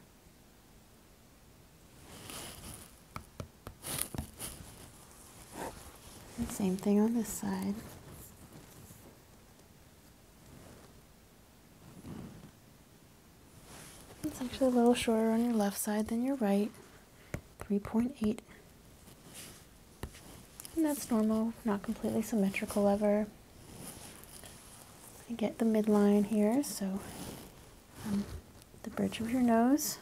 same thing on this side. It's actually a little shorter on your left side than your right. 3.8. And that's normal, not completely symmetrical ever. I get the midline here, so um, the bridge of your nose,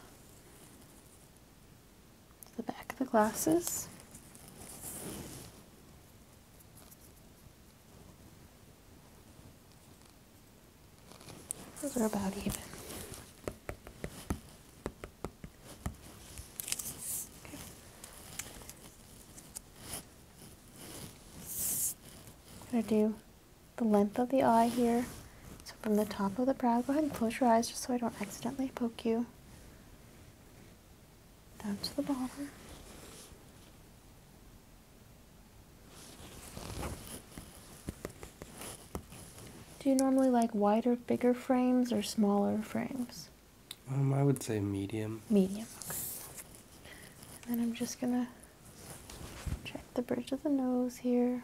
the back of the glasses. Those are about even. I'm going to do the length of the eye here. So from the top of the brow, go ahead and close your eyes just so I don't accidentally poke you. Down to the bottom. Do you normally like wider, bigger frames or smaller frames? Um, I would say medium. Medium, And I'm just gonna check the bridge of the nose here.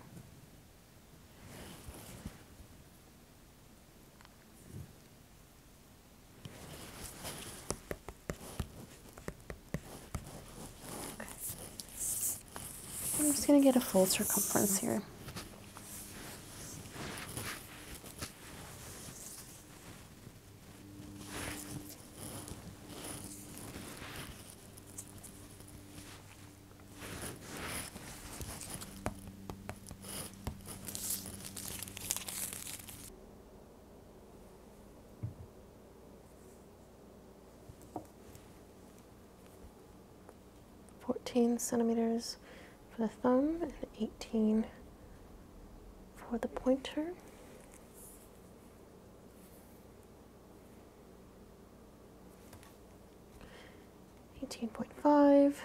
I'm just going to get a full circumference here. 14 centimeters for the thumb and 18 for the pointer. Eighteen point five.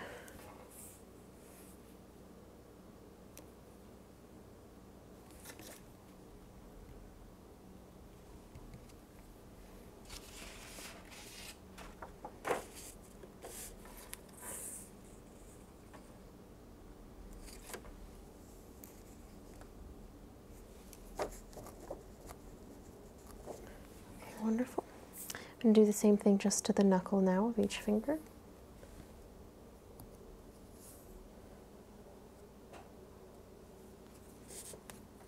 Okay, wonderful. I'm going to do the same thing just to the knuckle now of each finger.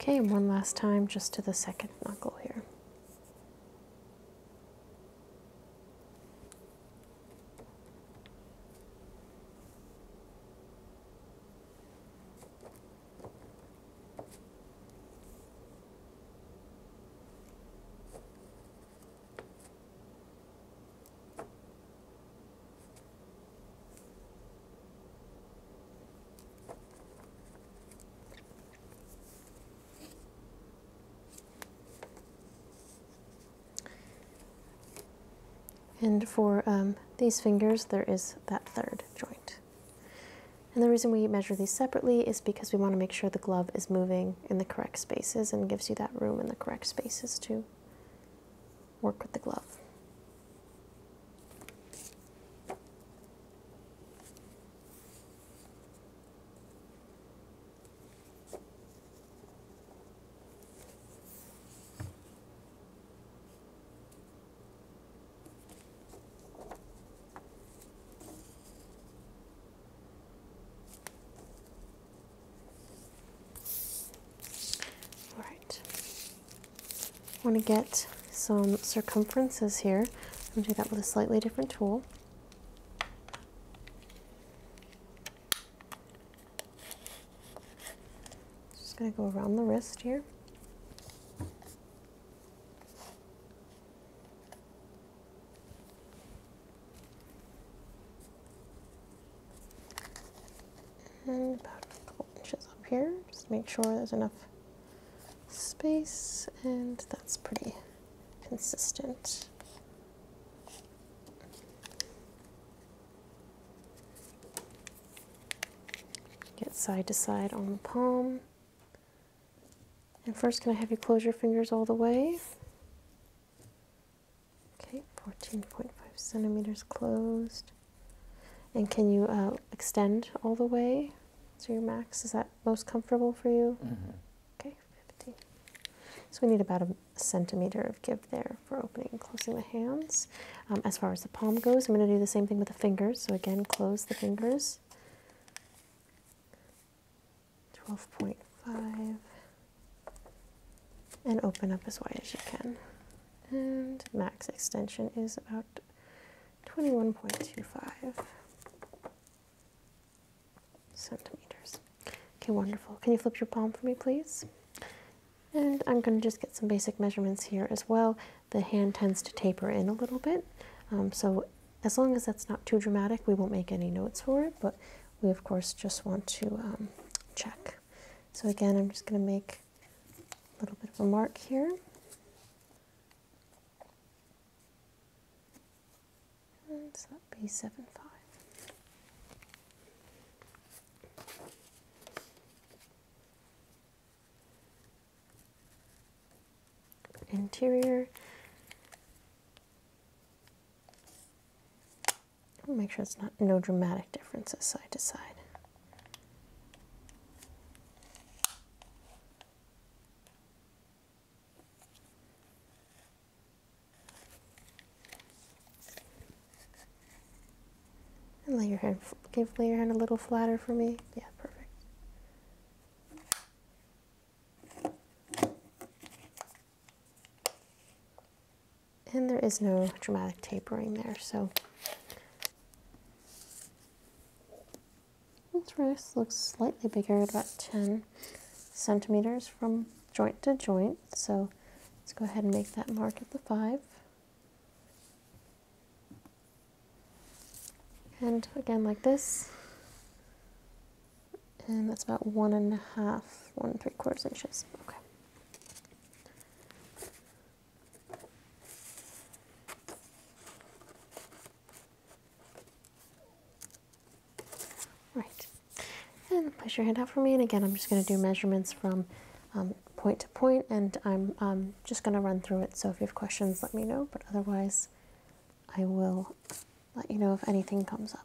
Okay, one last time just to the second knuckle here. And for um, these fingers, there is that third joint. And the reason we measure these separately is because we want to make sure the glove is moving in the correct spaces and gives you that room in the correct spaces to work with the glove. All right. I want to get some circumferences here. I'm going to do that with a slightly different tool. Just going to go around the wrist here. And about a couple inches up here, just make sure there's enough space and that's pretty consistent. Get side to side on the palm. And first, can I have you close your fingers all the way? Okay, 14.5 centimeters closed. And can you uh, extend all the way to your max? Is that most comfortable for you? Mm-hmm. Okay, 15. So we need about a centimeter of give there for opening and closing the hands. Um, as far as the palm goes, I'm going to do the same thing with the fingers. So again, close the fingers. 12.5 and open up as wide as you can. And max extension is about 21.25 centimeters. Okay, wonderful. Can you flip your palm for me, please? And I'm going to just get some basic measurements here as well. The hand tends to taper in a little bit, um, so as long as that's not too dramatic, we won't make any notes for it, but we of course just want to um, check. So again, I'm just going to make a little bit of a mark here. so that'd be 7, 5. Interior, Make sure it's not no dramatic differences side to side. And lay your hand, give lay your hand a little flatter for me. Yeah, perfect. And there is no dramatic tapering there, so this wrist looks slightly bigger about 10 centimeters from joint to joint. So let's go ahead and make that mark at the five. And again like this, and that's about one a half, one and three quarters inches. Okay. Right, and push your hand out for me. And again, I'm just going to do measurements from um, point to point, and I'm um, just going to run through it. So if you have questions, let me know. But otherwise, I will let you know if anything comes up.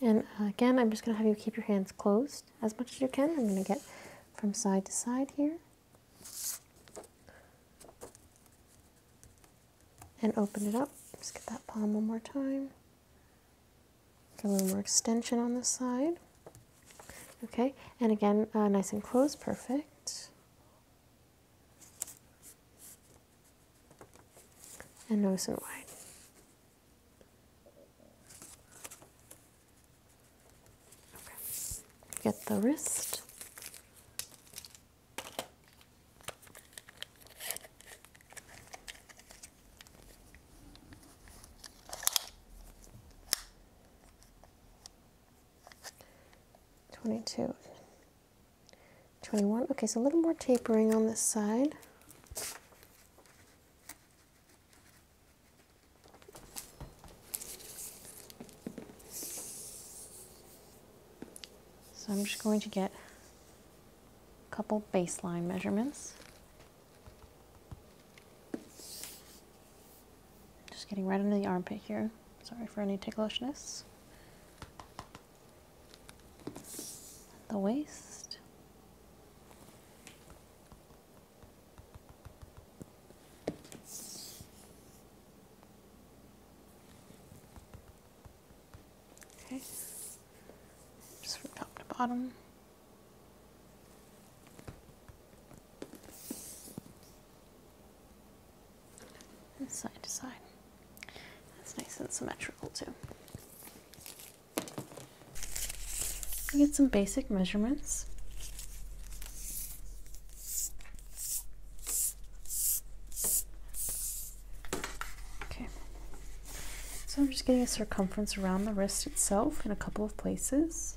And uh, again, I'm just going to have you keep your hands closed as much as you can. I'm going to get from side to side here. And open it up. Just get that palm one more time. Get a little more extension on this side. Okay, and again, uh, nice and close, perfect and nose and wide. Okay. Get the wrist. 22, 21. Okay, so a little more tapering on this side. So I'm just going to get a couple baseline measurements. Just getting right under the armpit here. Sorry for any ticklishness. The waist. Okay. Just from top to bottom and side to side. That's nice and symmetrical too. I get some basic measurements. Okay, so I'm just getting a circumference around the wrist itself in a couple of places.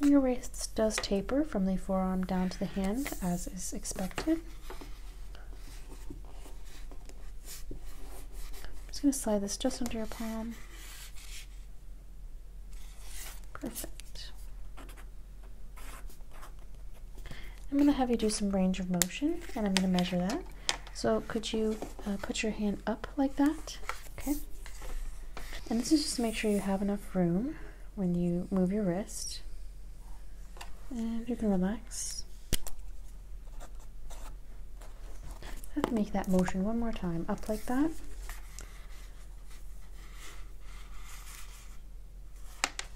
your wrist does taper from the forearm down to the hand as is expected. I'm just going to slide this just under your palm. Perfect. I'm going to have you do some range of motion and I'm going to measure that. So could you uh, put your hand up like that Okay. And this is just to make sure you have enough room when you move your wrist. And you can relax. Let's make that motion one more time. Up like that.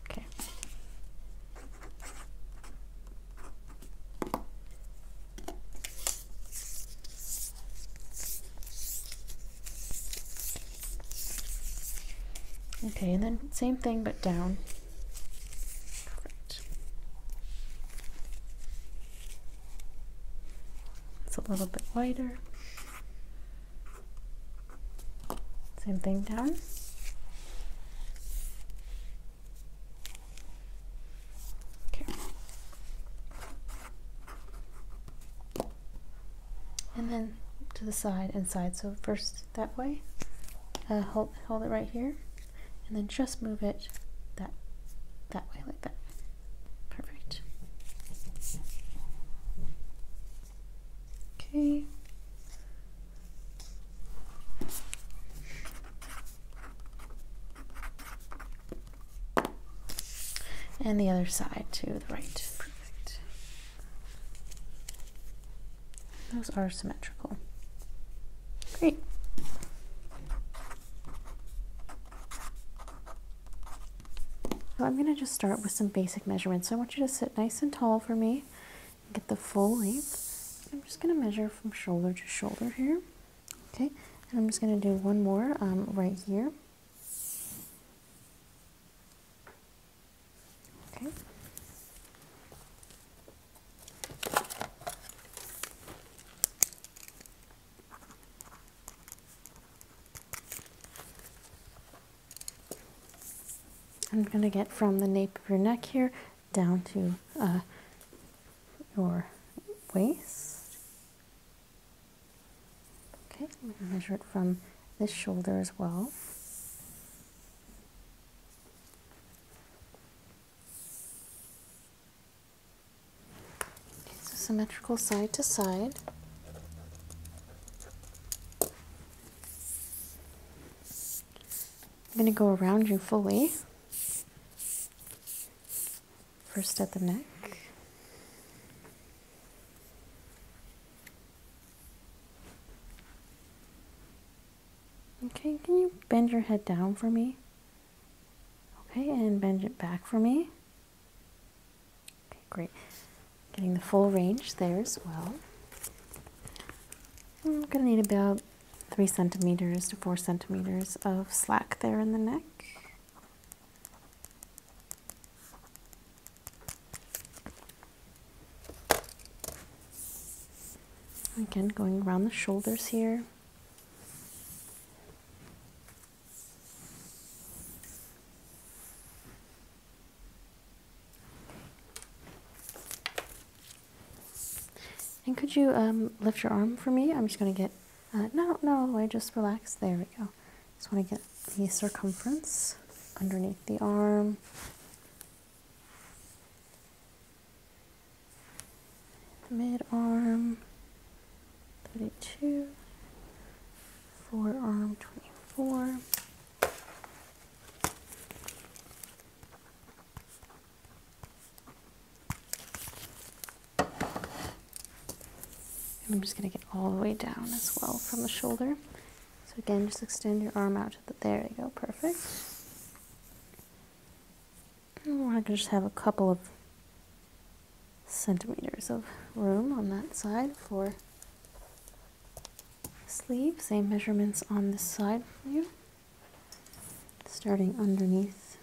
Okay. Okay, and then same thing but down. It's a little bit wider. Same thing down. Okay and then to the side and side. So first that way, uh, hold, hold it right here, and then just move it that, that way, like that. Perfect. Okay. And the other side to the right. Perfect. Those are symmetrical. Great. So I'm going to just start with some basic measurements. I want you to sit nice and tall for me. Get the full length. I'm just going to measure from shoulder to shoulder here. Okay, and I'm just going to do one more um, right here. Okay. I'm going to get from the nape of your neck here down to uh, your waist. Okay, I'm measure it from this shoulder as well. It's so symmetrical side to side. I'm going to go around you fully. First at the neck. Okay, can you bend your head down for me? Okay, and bend it back for me. Okay, great. Getting the full range there as well. I'm going to need about 3 centimeters to 4 centimeters of slack there in the neck. Again, going around the shoulders here. And could you um, lift your arm for me? I'm just going to get, uh, no, no, I just relax. There we go just want to get the circumference underneath the arm mid arm 32 forearm 24 I'm just going to get all the way down as well from the shoulder. So again, just extend your arm out to the, there you go, perfect. I we're going to just have a couple of centimeters of room on that side for sleeve. Same measurements on this side for you. Starting underneath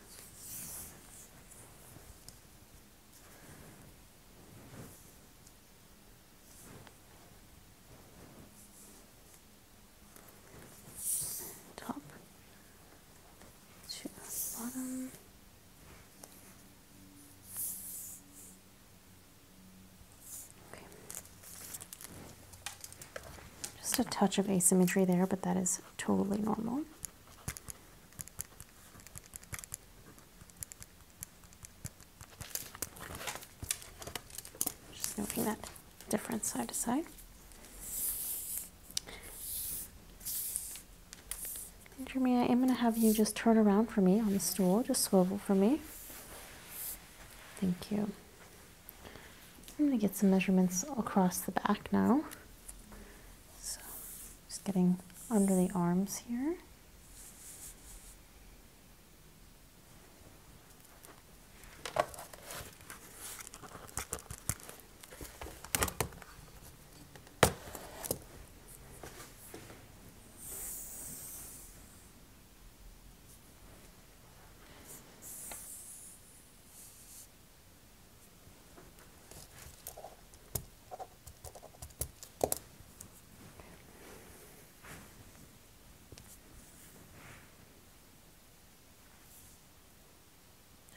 top bottom. Okay. Just a touch of asymmetry there, but that is totally normal. Just moving that difference side to side. And Jeremy, I am going to have you just turn around for me on the stool. Just swivel for me. Thank you. I'm going to get some measurements across the back now. Just getting under the arms here.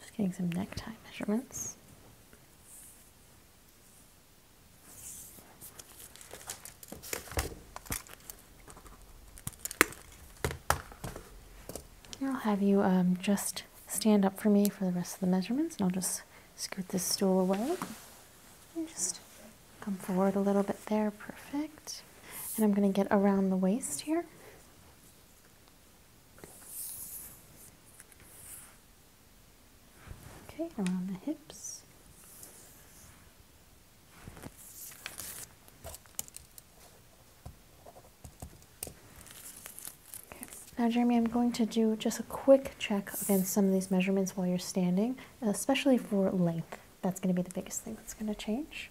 Just getting some necktie measurements. I'll have you um, just stand up for me for the rest of the measurements and I'll just scoot this stool away and just come forward a little bit there. Perfect. And I'm going to get around the waist here. Okay, around the hips. Now, Jeremy, I'm going to do just a quick check against some of these measurements while you're standing, especially for length. That's going to be the biggest thing that's going to change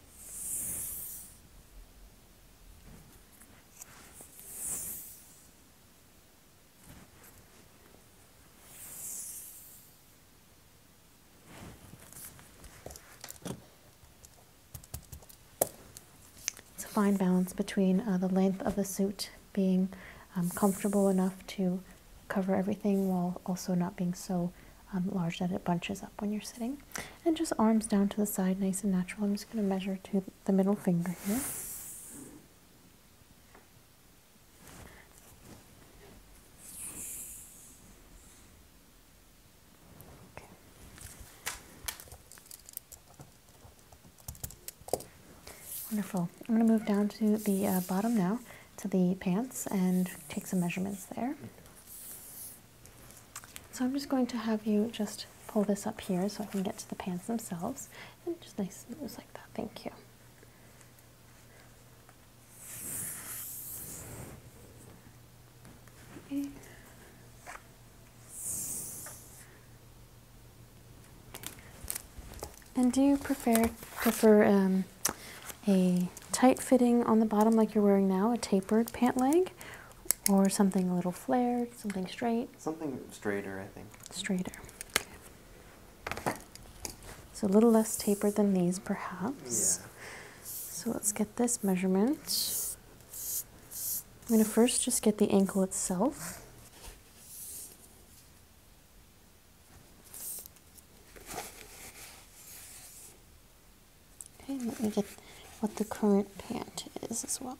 it's a fine balance between uh, the length of the suit being um, comfortable enough to cover everything while also not being so um, large that it bunches up when you're sitting. And just arms down to the side, nice and natural. I'm just going to measure to the middle finger here. Wonderful. I'm going to move down to the uh, bottom now, to the pants, and take some measurements there. So I'm just going to have you just pull this up here so I can get to the pants themselves. And just nice moves like that. Thank you. And do you prefer, prefer um, a tight fitting on the bottom like you're wearing now, a tapered pant leg, or something a little flared, something straight? Something straighter, I think. Straighter. So a little less tapered than these, perhaps. Yeah. So let's get this measurement. I'm going to first just get the ankle itself. Okay, let me get what the current pant is as well.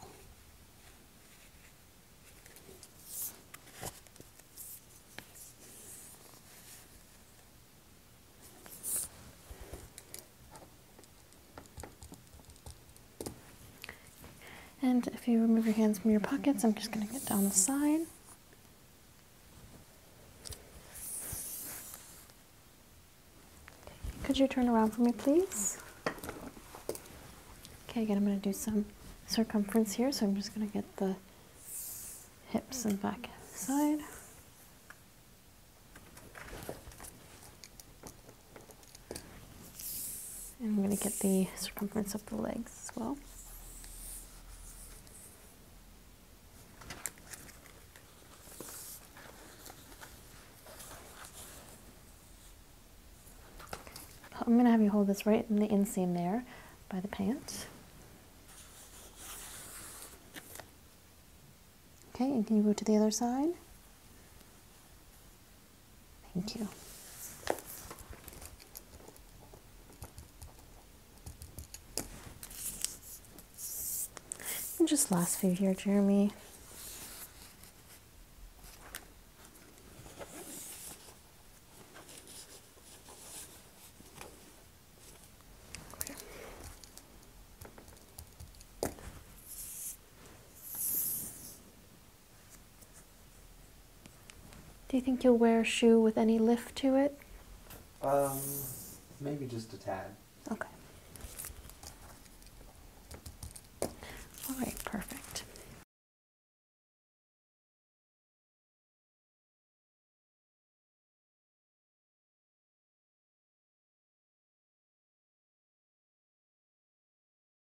And if you remove your hands from your pockets, I'm just going to get down the side. Could you turn around for me, please? Okay, again, I'm going to do some circumference here, so I'm just going to get the hips and back side. And I'm going to get the circumference of the legs as well. I'm going to have you hold this right in the inseam there by the pant. Okay, can you go to the other side? Thank you. And just last few here, Jeremy. Do you think you'll wear a shoe with any lift to it? Um, maybe just a tad. Okay. All right, perfect.